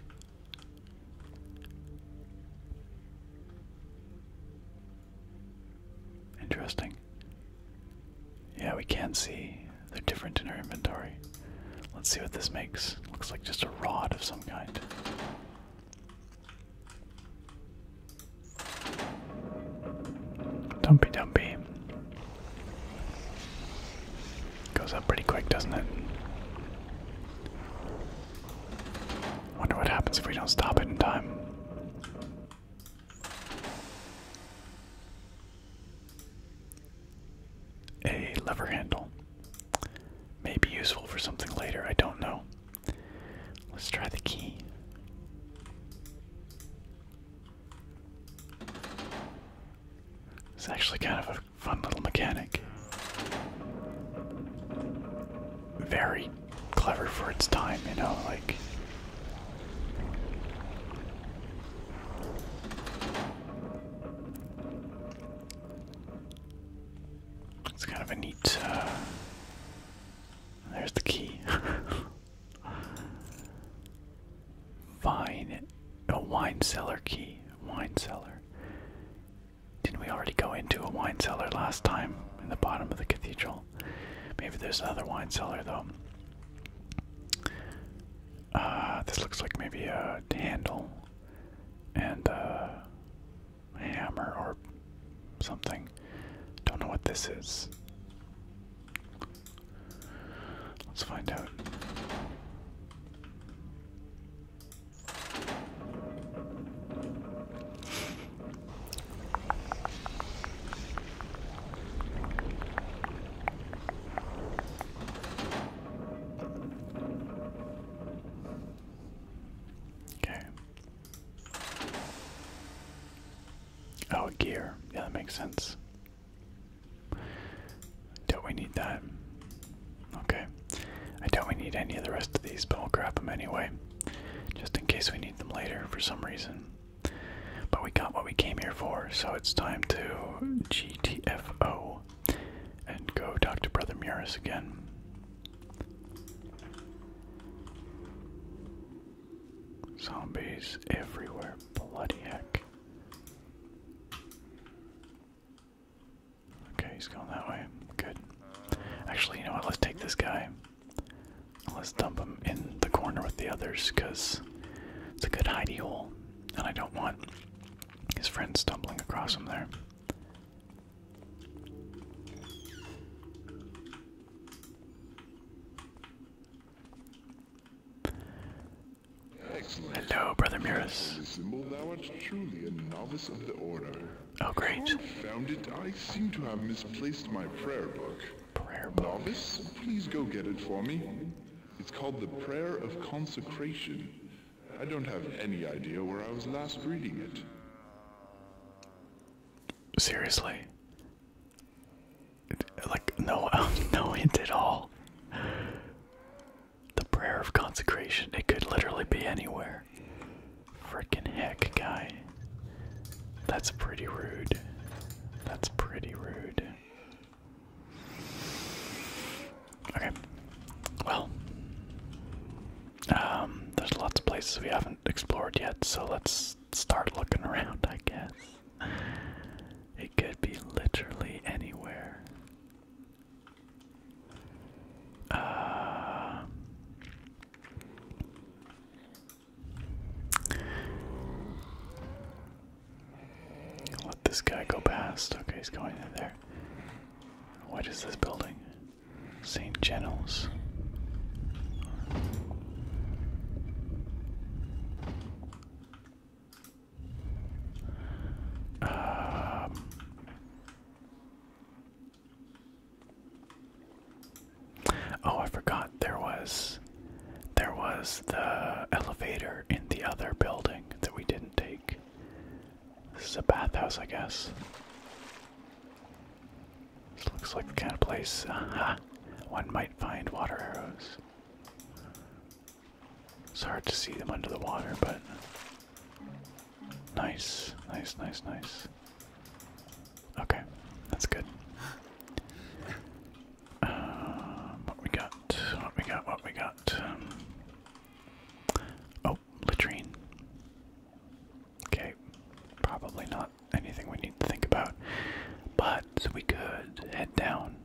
Interesting. Yeah, we can see they're different in our inventory. Let's see what this makes. Looks like just a rod of some kind. Dumpy Dumpy. Goes up pretty quick, doesn't it? Wonder what happens if we don't stop it in time. A lever handle. May be useful for something later, I don't know. Let's try the key. It's actually kind of a fun little mechanic. Very clever for its time, you know, like it's kind of a neat uh, there's the key. Vine a wine cellar key. Wine cellar. Didn't we already go into a wine cellar last time in the bottom of the cathedral? Maybe there's another wine cellar though. Uh, this looks like maybe a handle and a hammer or something. Don't know what this is. Let's find out. Okay. Oh, gear. Yeah, that makes sense. Don't we need that? Okay. I don't we need any of the rest of these, but we'll grab them anyway. Just in case we need them later for some reason. But we got what we came here for, so it's time to GTFO and go talk to Brother Muris again. Zombies everywhere, bloody heck. Okay, he's going that way. Good. Actually, you know what? Let's take this guy. Let's dump him in the corner with the others because it's a good hidey hole, and I don't want his friends stumbling across him there. Hello, Brother Miras. Oh, great. Found it, I seem to have misplaced my prayer book. Prayer Novice, please go get it for me. It's called The Prayer of Consecration. I don't have any idea where I was last reading it. Seriously? like, no, no hint at all. The Prayer of Consecration. It could literally be anywhere. Freaking heck, guy. That's pretty rude. That's pretty rude. Okay. Well, um, there's lots of places we haven't explored yet, so let's start looking around, I guess. It could be literally anywhere. Uh, let this guy go past. Okay, he's going in there. What is this building? St. General's. Um, Oh, I forgot there was there was the elevator in the other building that we didn't take. This is a bathhouse, I guess. This looks like the kind of place uh-huh, one might find water arrows. It's hard to see them under the water, but nice, nice, nice, nice. Okay, that's good. Um, what we got? What we got? What we got? oh, latrine. Okay, probably not anything we need to think about, but we could head down.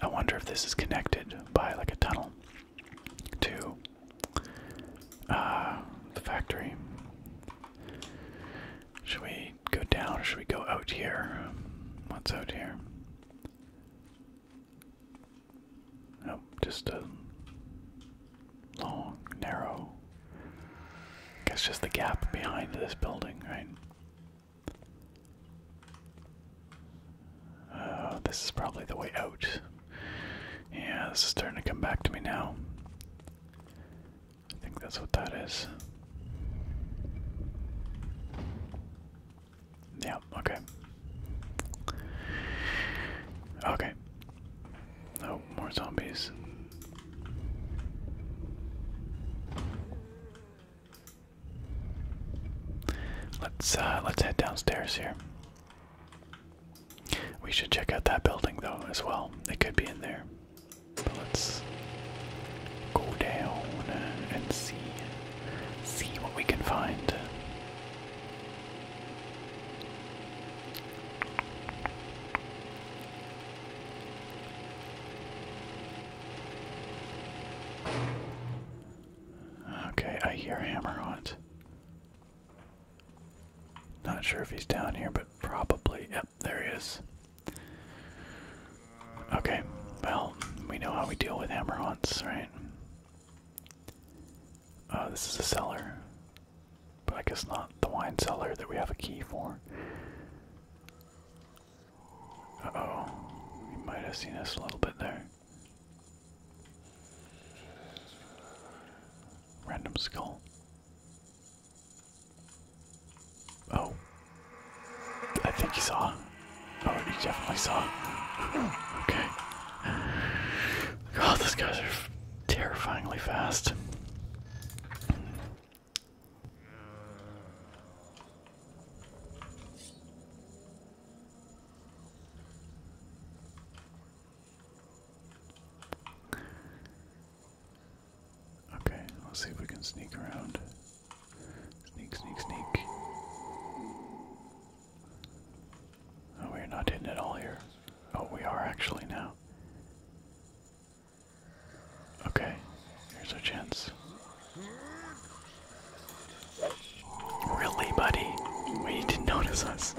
I wonder if this is connected by like a tunnel to uh, the factory. Should we go down or should we go out here? What's out here? Nope, oh, just a long, narrow. I guess just the gap behind this building, right? Uh, this is probably the way out. Yeah, this is starting to come back to me now. I think that's what that is. Yeah, okay. Okay. Oh, more zombies. Let's uh, let's head downstairs here. We should check out that building though as well. It could be in there let's go down and see see what we can find. Okay, I hear Hammerhaunt. Not sure if he's down here, but probably there he is. Okay, well, we know how we deal with hammer haunts, right? Uh, this is a cellar, but I guess not the wine cellar that we have a key for. oh, you might have seen us a little bit there. Random skull. Oh. I think he saw. Oh, he definitely saw. Okay. God, these guys are terrifyingly fast. Okay, let's see if we can sneak around. Sneak, sneak, sneak. Oh, we're not hidden it all here. Oh, we are actually now. Okay, here's our chance. Really, buddy? We didn't notice us.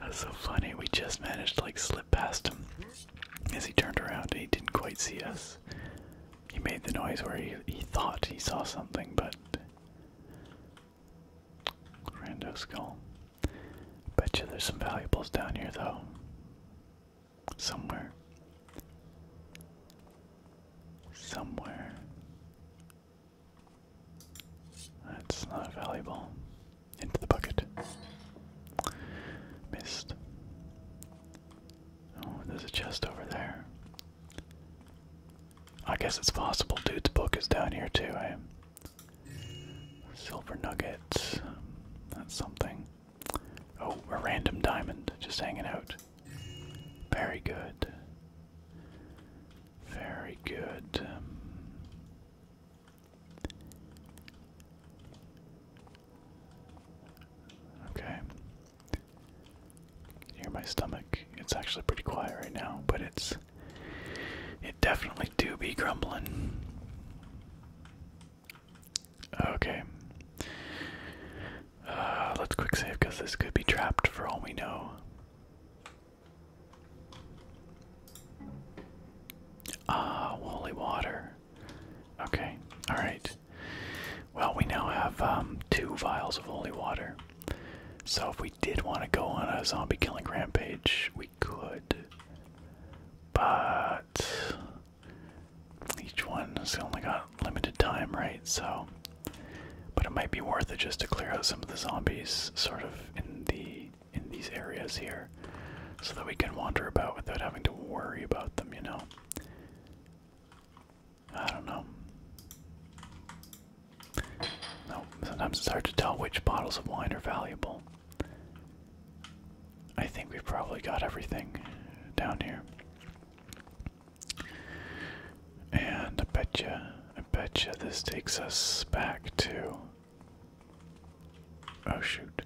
That's so funny. We just managed to like slip slip past him. As he turned around, he didn't quite see us. He made the noise where he, thought he saw something, but. Rando skull. Betcha there's some valuables down here, though. Somewhere. Somewhere. That's not valuable. Into the bucket. Missed. Oh, there's a chest over there. I guess it's possible dude's book is down here too, eh? Silver nugget. That's something. Oh, a random diamond just hanging out. Very good. Very good. Um, Okay. hear my stomach? It's actually pretty quiet right now, but it's it definitely do be grumbling. Okay. Uh, let's quick save because this could be trapped for all we know. Ah, holy water. Okay, alright. Well, we now have um, two vials of holy water. So if we did want to go on a zombie killing rampage, we could. But each one has only got limited time, right? So. But it might be worth it just to clear out some of the zombies sort of in the in these areas here so that we can wander about without having to worry about them, you know? I don't know. No, sometimes it's hard to tell which bottles of wine are valuable. I think we've probably got everything down here. And I betcha, I betcha this takes us back to. Oh shoot.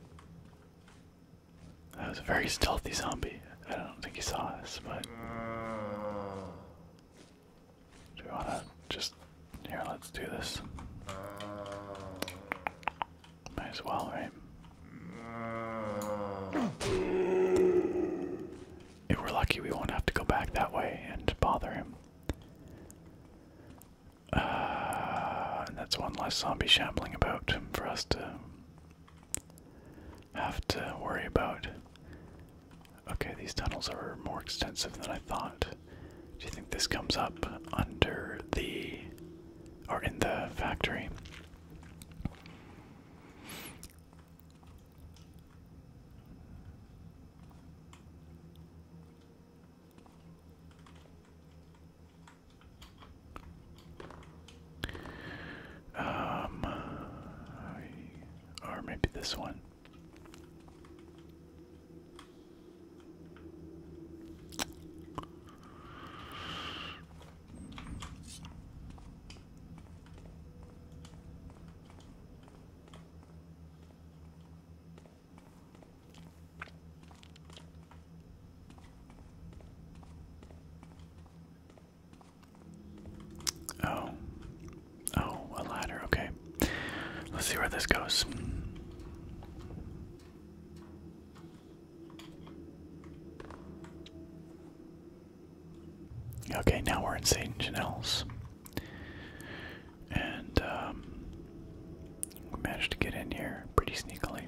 That was a very stealthy zombie. I don't think he saw us, but. Do we wanna just. Here, let's do this. Might as well, right? If we're lucky, we won't have to go back that way and bother him. Uh, and that's one less zombie shambling about for us to have to worry about. Okay, these tunnels are more extensive than I thought. Do you think this comes up under the. or in the factory? Um, or maybe this one. Oh. Oh, a ladder. Okay. Let's see where this goes. Okay, now we're in St. Janelle's. And um, we managed to get in here pretty sneakily.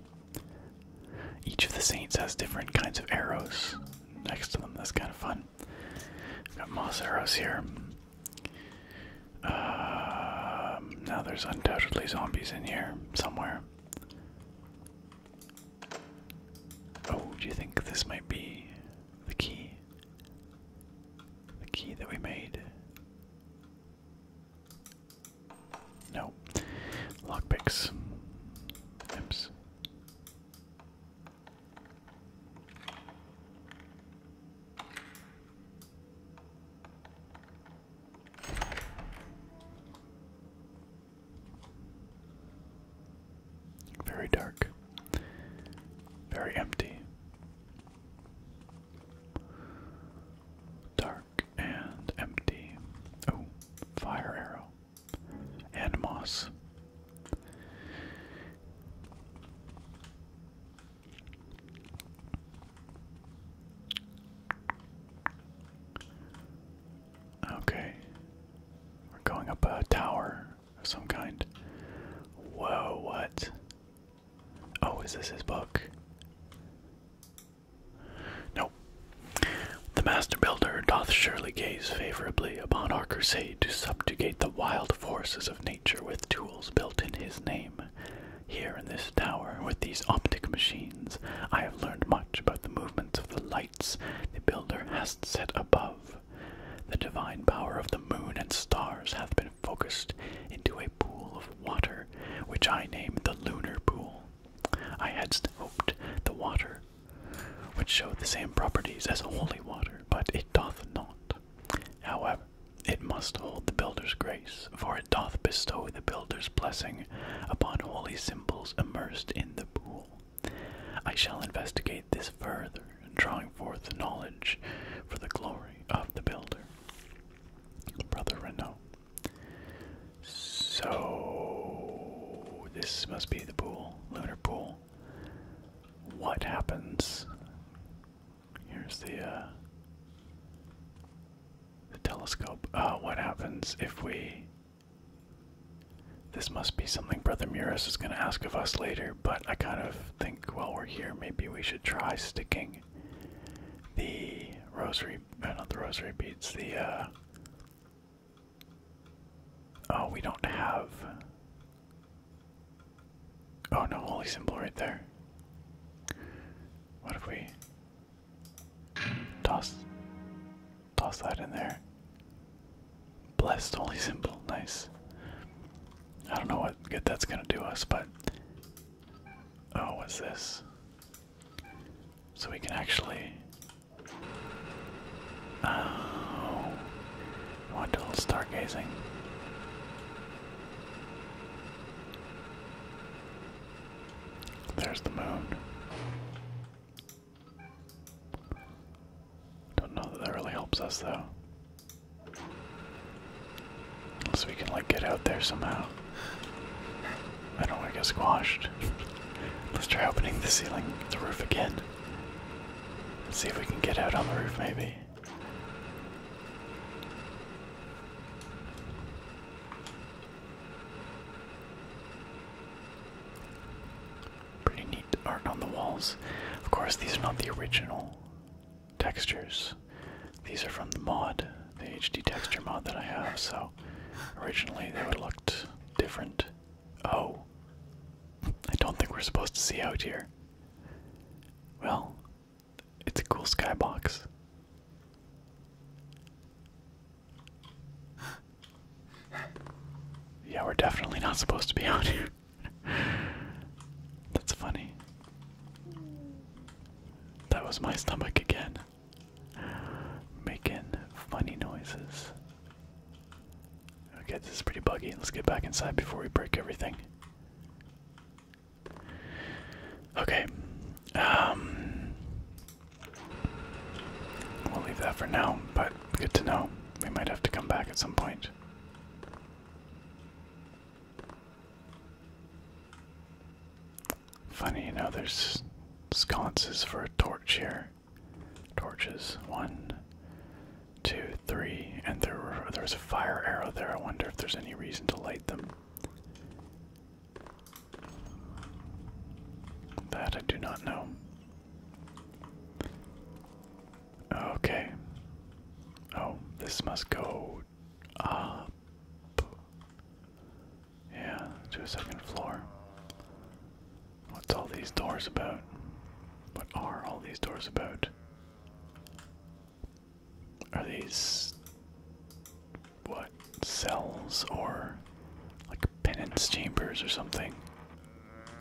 Each of the saints has different kinds of arrows next to them. That's kind of fun. We've got moss arrows here. Um, now there's undoubtedly zombies in here somewhere. Oh, do you think this might be the key? The key that we made? No. Lockpicks. Oops. Very dark. Very empty. Dark and empty. Oh, fire arrow. And moss. Okay. We're going up a tower of some kind. Whoa, what? Oh, is this his book? No. The master builder doth surely gaze favorably upon our crusade to subjugate the wild forces of nature with tools built in his name. Here in this tower, with these optic machines, I have learned much about the movements of the lights the builder has set above. The divine power of the moon and stars hath been focused into a pool of water, which I name the lunar pool. I had hoped the water would show the same properties as holy water, but it doth not. However, it must hold the builder's grace, for it doth bestow the builder's blessing upon holy symbols immersed in the pool. I shall investigate this further, drawing forth knowledge for the glory of the builder. Brother Renault. So this must be the pool, lunar pool. What happens? Here's the uh, the telescope. Uh, what happens if we? This must be something Brother Muris is going to ask of us later, but I kind of think while we're here, maybe we should try sticking the rosary, uh, not the rosary beads, the, uh, oh, we don't have, oh no, holy symbol right there. What if we toss, toss that in there? Blessed holy symbol, nice. I don't know what good that's gonna do us, but. Oh, what's this? So we can actually. Oh. I want do a little stargazing. There's the moon. Don't know that that really helps us though. So we can, like, get out there somehow. I don't want to get squashed. Let's try opening the ceiling, the roof again. see if we can get out on the roof, maybe. Pretty neat art on the walls. Of course, these are not the original textures, these are from the mod the HD texture mod that I have, so originally they would have looked different. Oh. I don't think we're supposed to see out here. Well, it's a cool skybox. Yeah, we're definitely not supposed to be out here. That's funny. That was my stomach again making funny noises. Okay, this is pretty buggy. Let's get back inside before we break everything. Okay. Um, we'll leave that for now, but good to know. We might have to come back at some point. Funny, you know, there's sconces for a torch here. Torches. One, two, three. And there, was a fire arrow there. I wonder if there's any reason to light them. That I do not know. Okay. Oh, this must go up. Yeah, to a second floor. What's all these doors about? What are all these doors about? Are these. what? Cells or. like penance chambers or something?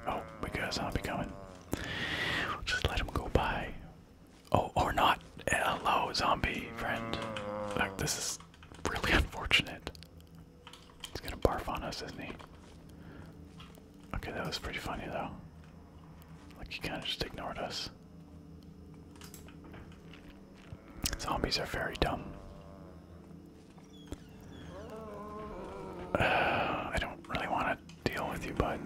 Oh, we got a zombie coming. We'll just let him go by. Oh, or not. Hello, zombie friend. Like, this is really unfortunate. He's gonna barf on us, isn't he? Okay, that was pretty funny though. Like he kinda just ignored us. Zombies are very dumb. I don't really want to deal with you, bud.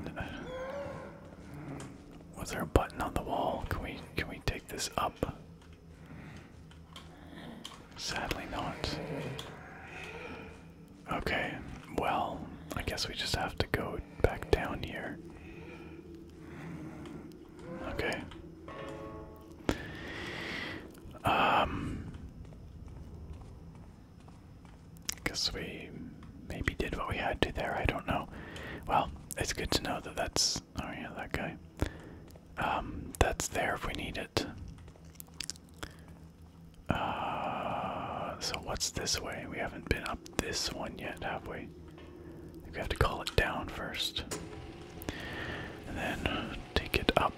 Was there a button on the wall? Can we can we take this up? Sadly not. Okay, well, I guess we just have to go back down here. Okay. Um guess we maybe did what we had to there, I don't know. Well, it's good to know that that's oh yeah, that guy. Um, that's there if we need it. Uh, so what's this way? We haven't been up this one yet, have we? we have to call it down first. And then take it up.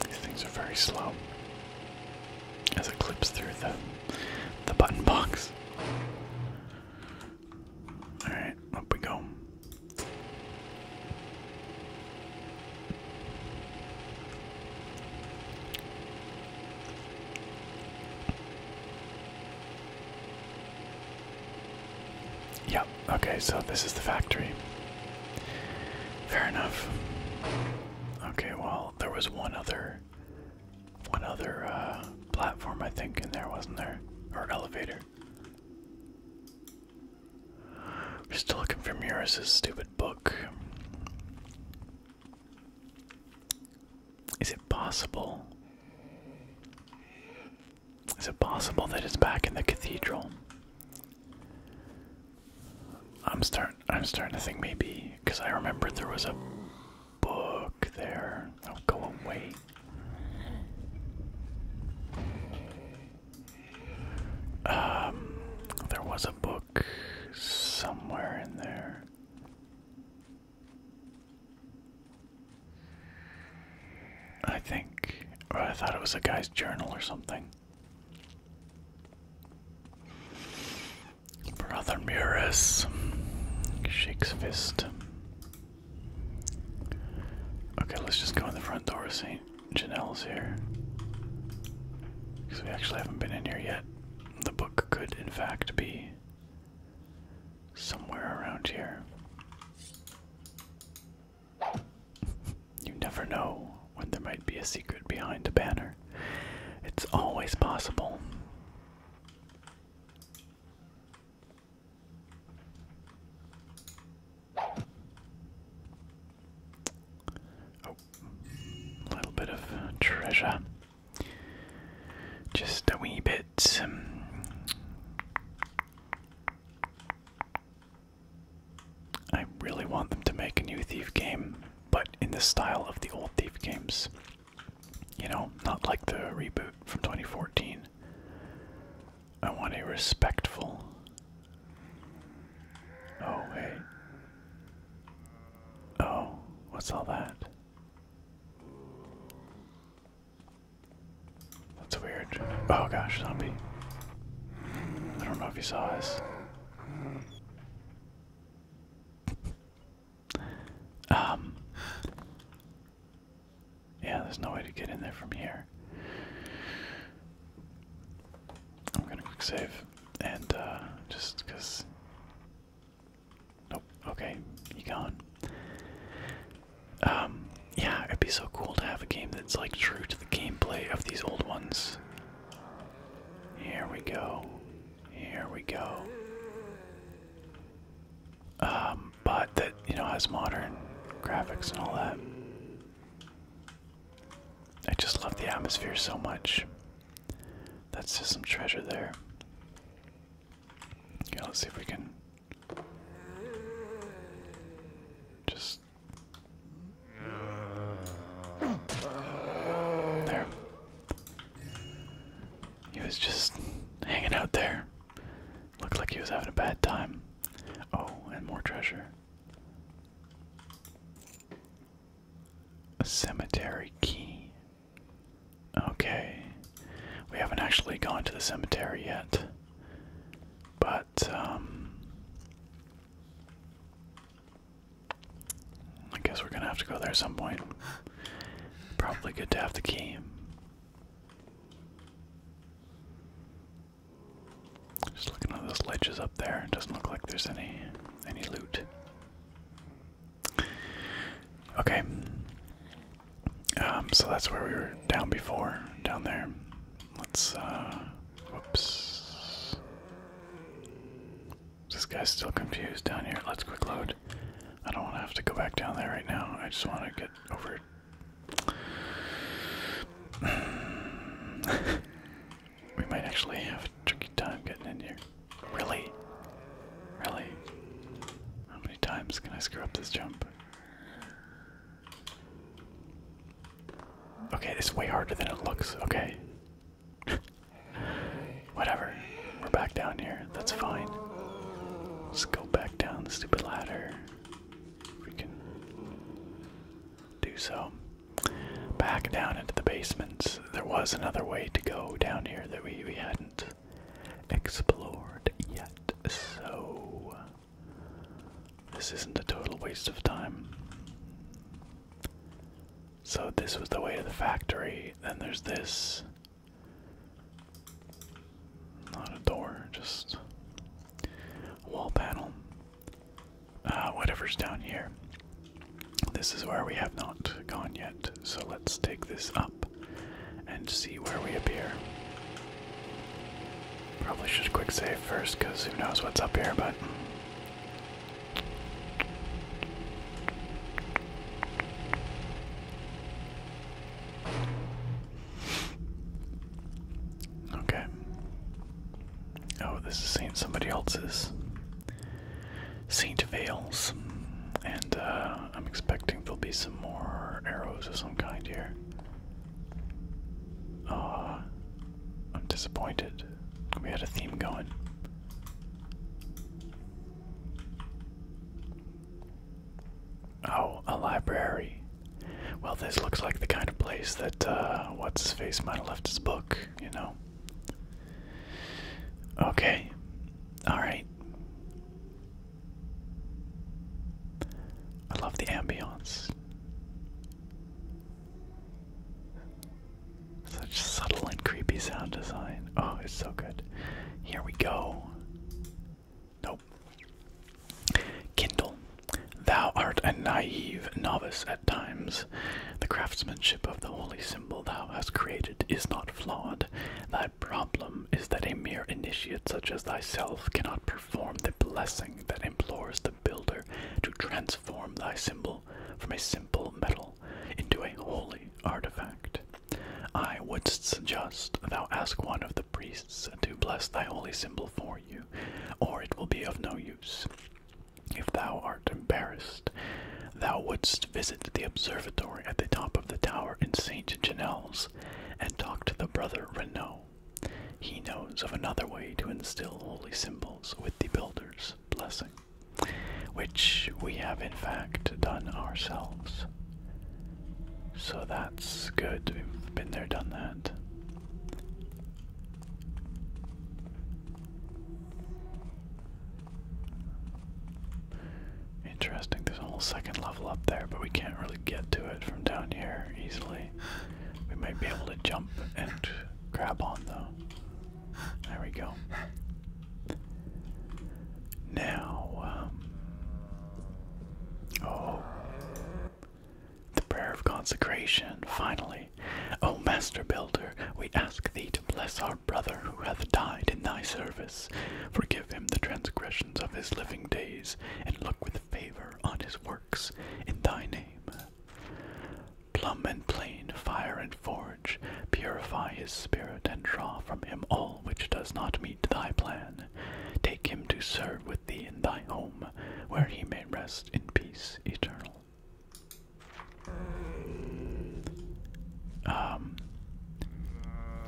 These things are very slow as it clips through the the button box. All right, up we go. Yep, okay, so this is the factory. Fair enough. Okay, well, there was one other one other uh, platform I think in there, wasn't there? Or elevator. We're still looking for Muris's stupid book. Is it possible? Is it possible that it's back in the cathedral? I'm starting. I'm starting to think maybe because I remembered there was a book there. I'll go away. Um, there was a book somewhere in there. I think, or I thought it was a guy's journal or something. Brother Muris shakes fist. Okay, let's just go in the front door. See, Janelle's here. Because we actually haven't been in here yet. The book could, in fact, be somewhere around here. You never know when there might be a secret behind a banner. It's always possible. Oh, a little bit of treasure. Just a wee bit. I really want them to make a new Thief game, but in the style of the old Thief games. You know, not like the reboot from 2014. I want a respectful. Oh, wait. Oh, what's all that? That's weird. Oh gosh, zombie. I don't know if you saw this. Um. Yeah, there's no way to get in there from here. I'm gonna quick save, and uh, just because. Nope. Okay, you gone. Um. Yeah, it'd be so cool to have a game that's like true to the gameplay of these old ones. Here we go. Here we go. Um, but that, you know, has modern graphics and all that. I just love the atmosphere so much. That's just some treasure there. Okay, let's see if we can just there. He was just hanging out there. Looked like he was having a bad time. Oh, and more treasure. A cemetery key. Okay. We haven't actually gone to the cemetery yet. But, um. I guess we're gonna have to go there at some point. Probably good to have the key. Just looking at those ledges up there. doesn't look like there's any any loot. Okay. Um, so that's where we were down before, down there. Let's uh whoops. This guy's still confused down here. Let's quick load. I don't want to have to go back down there right now. I just want to get over. we might actually have a tricky time getting in here. Really? Really? How many times can I screw up this jump? Okay, it's way harder than it looks. Okay. Whatever. We're back down here. That's fine. Let's go back down the stupid ladder. We can do so. Back down into the basements. There was another way to go down here that we, we hadn't explored yet, so this isn't a total waste of time. So this was the way to the factory. Then there's this. Not a door, just a wall panel. Uh, whatever's down here. This is where we have not gone yet, so let's take this up and see where we appear. Probably should quick save first, because who knows what's up here, but Okay. Oh, this is Saint somebody else's. Saint Vales. And uh, I'm expecting there'll be some more arrows of some kind here. Uh, I'm disappointed. We had a theme going. Oh, a library. Well, this looks like the kind of place that uh, what's face might have left his book, you know. Okay. All right. I love the ambience. Such subtle and creepy sound design. Oh, it's so good. Here we go. Nope. Kindle. Thou art a naive novice at times. The craftsmanship of the holy symbol thou hast created is not flawed. Thy problem is that a mere initiate such as thyself cannot perform the blessing that implores the builder to transform thy symbol from a simple metal into a holy artifact. I wouldst suggest thou ask one of the priests to bless thy holy symbol for you, or it will be of no use. If thou art embarrassed, thou wouldst visit the observatory at the top of the tower in St. Janelles and talk to the brother Renaud. He knows of another way to instill holy symbols with the builder's blessing which we have in fact done ourselves. So that's good. We've been there, done that. Interesting, there's a whole second level up there, but we can't really get to it from down here easily. We might be able to jump and grab on though. There we go. Now, um, oh, the prayer of consecration, finally. O Master Builder, we ask thee to bless our brother who hath died in thy service. Forgive him the transgressions of his living days, and look with favor on his works in thy name. Plumb and plane, fire and forge, purify his spirit and draw from him all which does not meet thy plan. Take him to serve with thee in thy home, where he may rest in peace eternal. Um,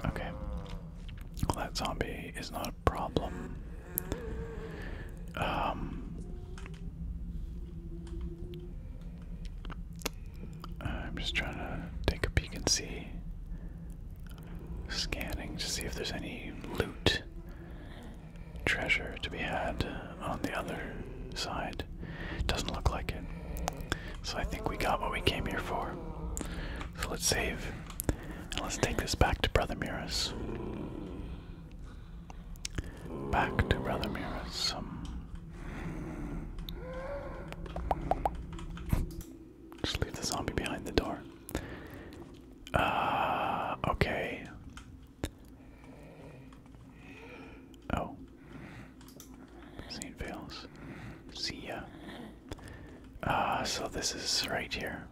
okay. Well, that zombie is not a problem. Um, I'm just trying to take a peek and see. Scanning to see if there's any loot, treasure to be had on the other side. Doesn't look like it. So I think we got what we came here for. So let's save. And let's take this back to Brother Miras. Back to Brother Mira's. Um, just leave the zombie behind the door. Uh, okay. Oh. St. Vales. See ya. Uh, so this is right here.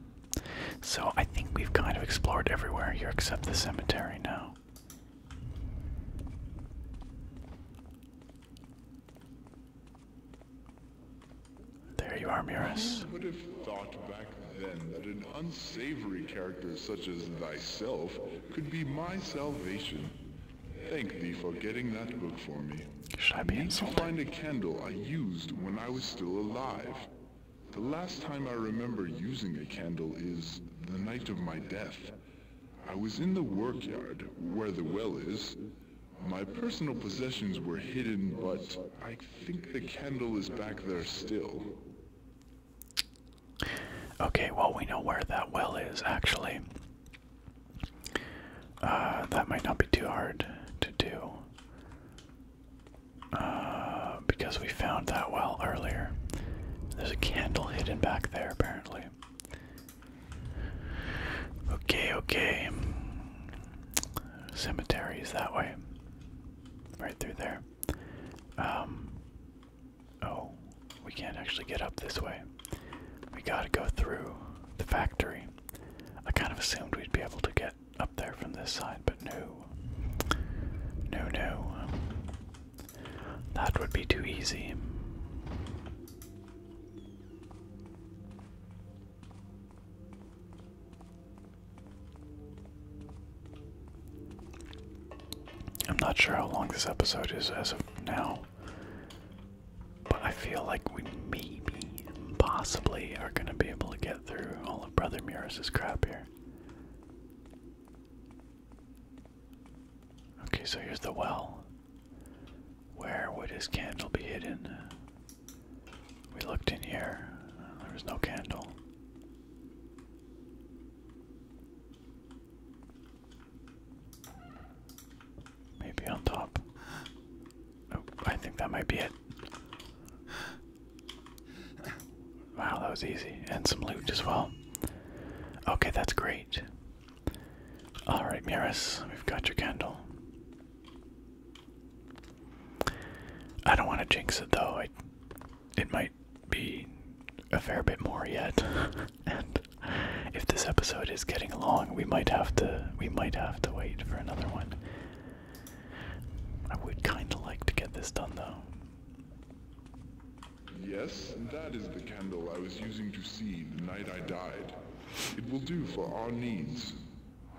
So I think we've kind of explored everywhere here except the cemetery now. There you are, Miras. Who would have thought back then that an unsavory character such as thyself could be my salvation? Thank thee for getting that book for me. Should I be insulted? To find a candle I used when I was still alive. The last time I remember using a candle is the night of my death. I was in the workyard, where the well is. My personal possessions were hidden, but I think the candle is back there still. Okay, well, we know where that well is, actually. Uh, that might not be too hard to do. Uh, because we found that well earlier. There's a candle hidden back there, apparently. Okay, okay. Cemeteries that way. Right through there. Um, oh, we can't actually get up this way. We gotta go through the factory. I kind of assumed we'd be able to get up there from this side, but no. No, no. That would be too easy. I'm not sure how long this episode is as of now, but I feel like we maybe, possibly, are going to be able to get through all of Brother Murus's crap here. Okay, so here's the well. Where would his candle be hidden? We looked in here. There was no candle. Maybe on top. Oh, I think that might be it. Wow, that was easy. And some loot as well. Okay, that's great. Alright, Miris, we've got your candle. I don't want to jinx it though. I, it might be a fair bit more yet. and if this episode is getting long, we might have to we might have to wait for another one. I would kind of like to get this done though. Yes, and that is the candle I was using to see the night I died. It will do for our needs.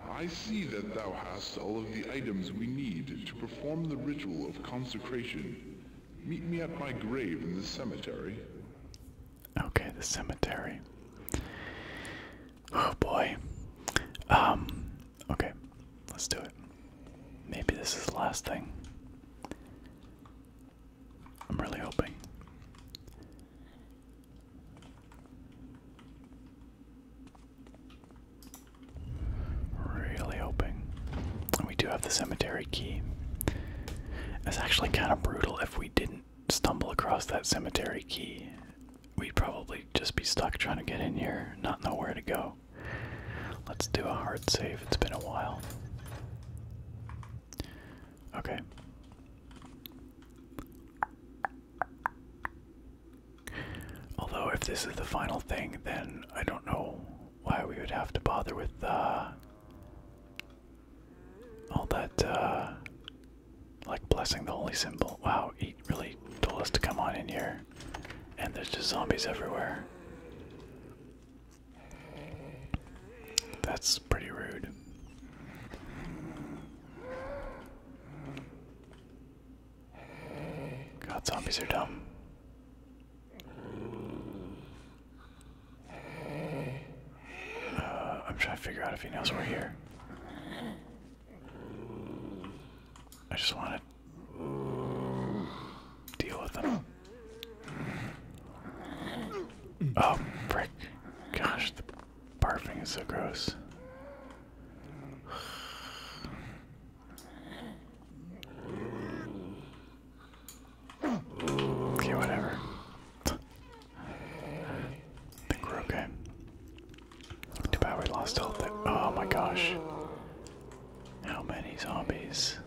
I see that thou hast all of the items we need to perform the ritual of consecration. Meet me at my grave in the cemetery. Okay, the cemetery. Oh boy. Um, okay, let's do it. Maybe this is the last thing. I'm really hoping. Really hoping. We do have the cemetery key. It's actually kind of brutal if we didn't stumble across that cemetery key. We'd probably just be stuck trying to get in here, not know where to go. Let's do a hard save, it's been a while. Okay. Although, if this is the final thing, then I don't know why we would have to bother with uh, all that, uh, like blessing the holy symbol. Wow, he really told us to come on in here, and there's just zombies everywhere. That's pretty rude. God, zombies are dumb. Uh, I'm trying to figure out if he knows we're here. I just want to deal with them. Oh, frick. Gosh, the barfing is so gross. Okay, whatever. think we're okay. Too bad we lost all that. Oh my gosh. How many zombies?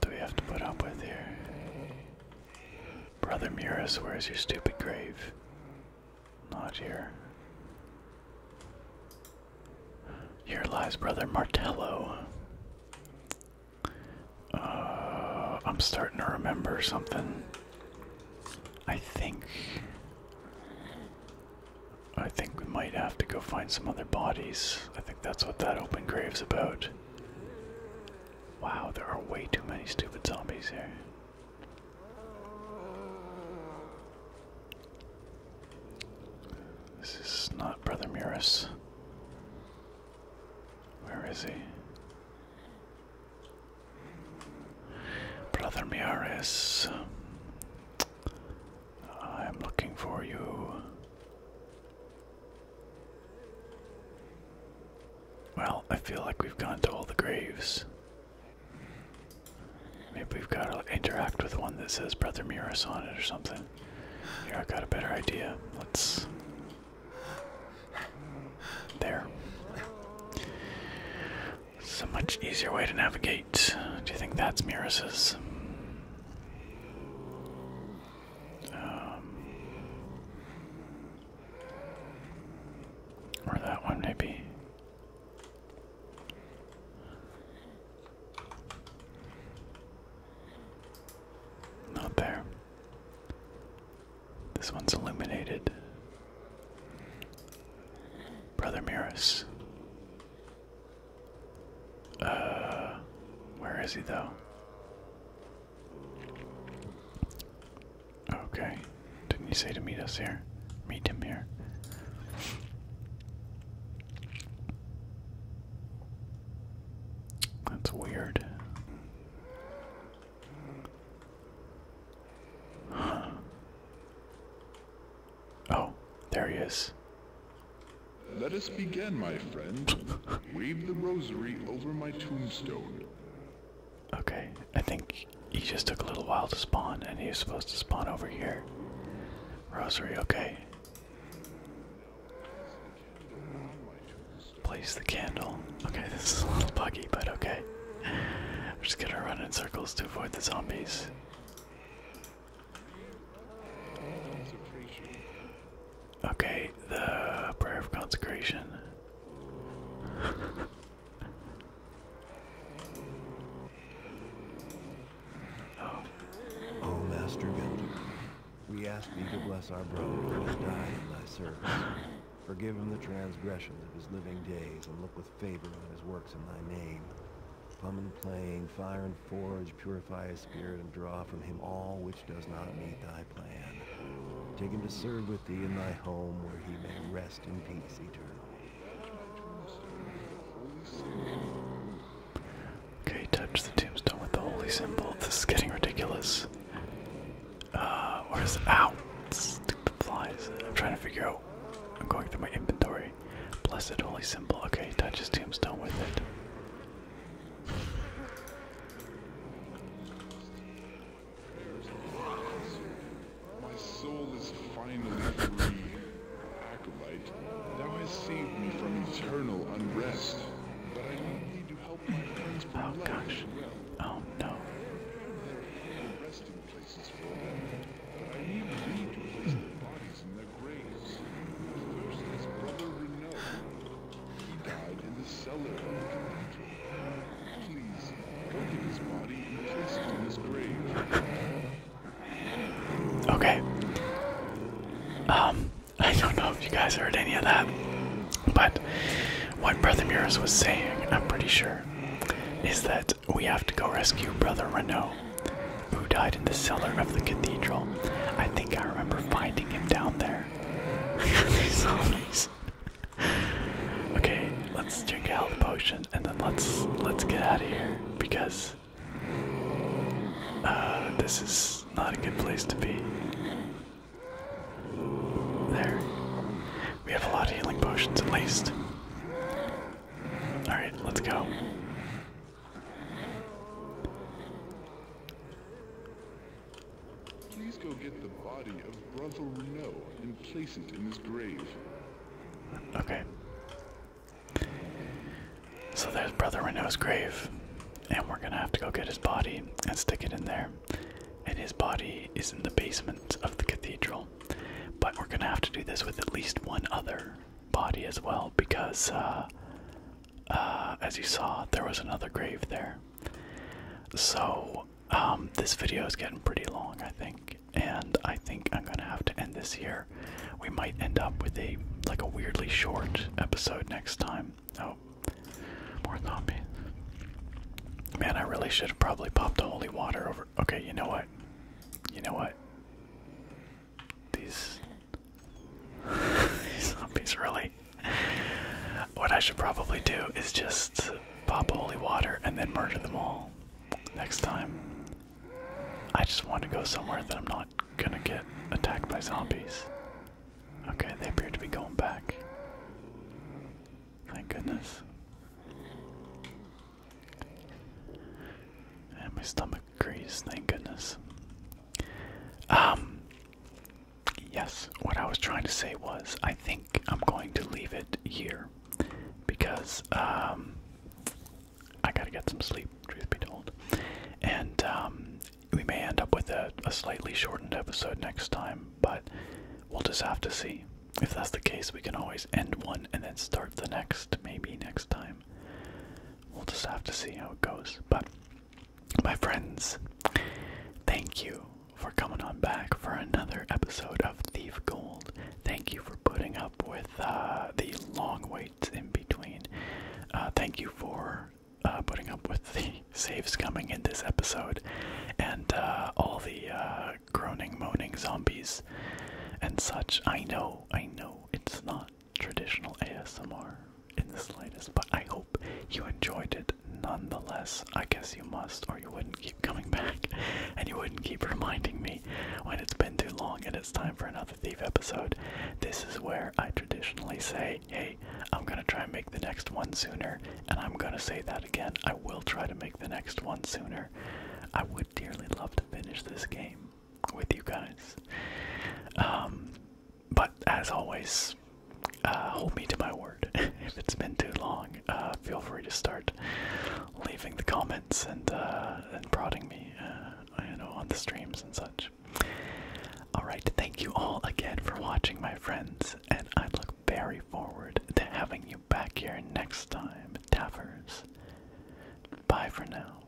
do we have to put up with here? Brother Muris, where's your stupid grave? Not here. Here lies Brother Martello. Uh, I'm starting to remember something. I think. I think we might have to go find some other bodies. I think that's what that open grave's about. Wow, there are way too many stupid zombies here. This is not Brother Muris. Where is he? Brother Muris. I'm looking for you. Well, I feel like we've gone to all the graves. Maybe we've got to interact with one that says Brother Muris on it or something. Here, I got a better idea. Let's. There. It's a much easier way to navigate. Do you think that's Muris's? Um, or that one, maybe. Not there. This one's illuminated. Brother Miris. Uh, where is he though? Okay. Didn't you say to meet us here? Meet him here. That's weird. Oh, there he is. Let us begin, my friend. Wave the rosary over my tombstone. Okay, I think he just took a little while to spawn, and he was supposed to spawn over here. Rosary, okay. Place the candle. Okay, this is a little buggy, but okay. I'm just gonna run in circles to avoid the zombies. Okay, the prayer of consecration. Oh, oh. Master Builder, we ask thee to bless our brother who died in thy service. Forgive him the transgressions of his living days, and look with favor on his works in thy name. Plum and playing, fire and forge, purify his spirit, and draw from him all which does not meet thy plan. Take him to serve with thee in thy home, where he may rest in peace eternally. Okay, touch the tombstone with the holy symbol. This is getting ridiculous. Uh, where's out? Stupid flies. I'm trying to figure out. I'm going through my inventory. Blessed holy symbol. Okay, touch his tombstone with it. My soul is finally free. thou hast saved me from eternal unrest. But I need to help my friends from oh, gosh. Oh, no. There are resting places for them, but I need thee to place their bodies in their graves. He died in the cellar of the cathedral. Okay. Um, I don't know if you guys heard any of that, but what Brother Muris was saying, I'm pretty sure, is that we have to go rescue Brother Renault, who died in the cellar of the cathedral. I think I remember finding him down there. okay, let's drink a health potion and then let's let's get out of here because uh, this is not a good place to be. There. We have a lot of healing potions at least. Alright, let's go. Please go get the body of Brother Renault and place it in his grave. Okay. So there's Brother Renault's grave, and we're gonna have to go get his body and stick it in there. And his body is in the basement of the cathedral. But we're gonna have to do this with at least one other body as well because uh, uh, as you saw, there was another grave there. So, um, this video is getting pretty long, I think, and I think I'm gonna have to end this here. We might end up with a like a weirdly short episode next time. Oh, more zombies. Man, I really should have probably popped the holy water over. Okay, you know what? You know what? These Zombies, really. What I should probably do is just pop holy water and then murder them all next time. I just want to go somewhere that I'm not gonna get attacked by zombies. Okay, they appear to be going back. Thank goodness. And my stomach agrees, thank goodness. Um yes, what I was trying to say was I think I'm going to leave it here because um, I gotta get some sleep, truth be told. And um, we may end up with a slightly shortened episode next time, but we'll just have to see. If that's the case, we can always end one and then start the next, maybe next time. We'll just have to see how it goes. But my friends, thank you for coming on back for another episode of Thief Gold. Thank you for putting up with uh, the long waits in between. Uh, thank you for uh, putting up with the saves coming in this episode and all the groaning, moaning zombies and such. I know, I know, it's not traditional ASMR in the slightest, but I hope you enjoyed it nonetheless. I guess you must, or you wouldn't keep coming back, and you wouldn't keep reminding me when it's been too long and it's time for another Thief episode. This is where I traditionally say, hey, I'm gonna try and make the next one sooner, and I'm gonna say that again. I will try to make the next one sooner. I would dearly love to finish this game with you guys. Um, but as always, uh, hold me to my word. if it's been too long, uh, feel free to start leaving the comments and uh, and prodding me, uh, know, on the streams and such. All right, thank you all again for watching, my friends, and I look very forward to having you back here next time, Taffers. Bye for now.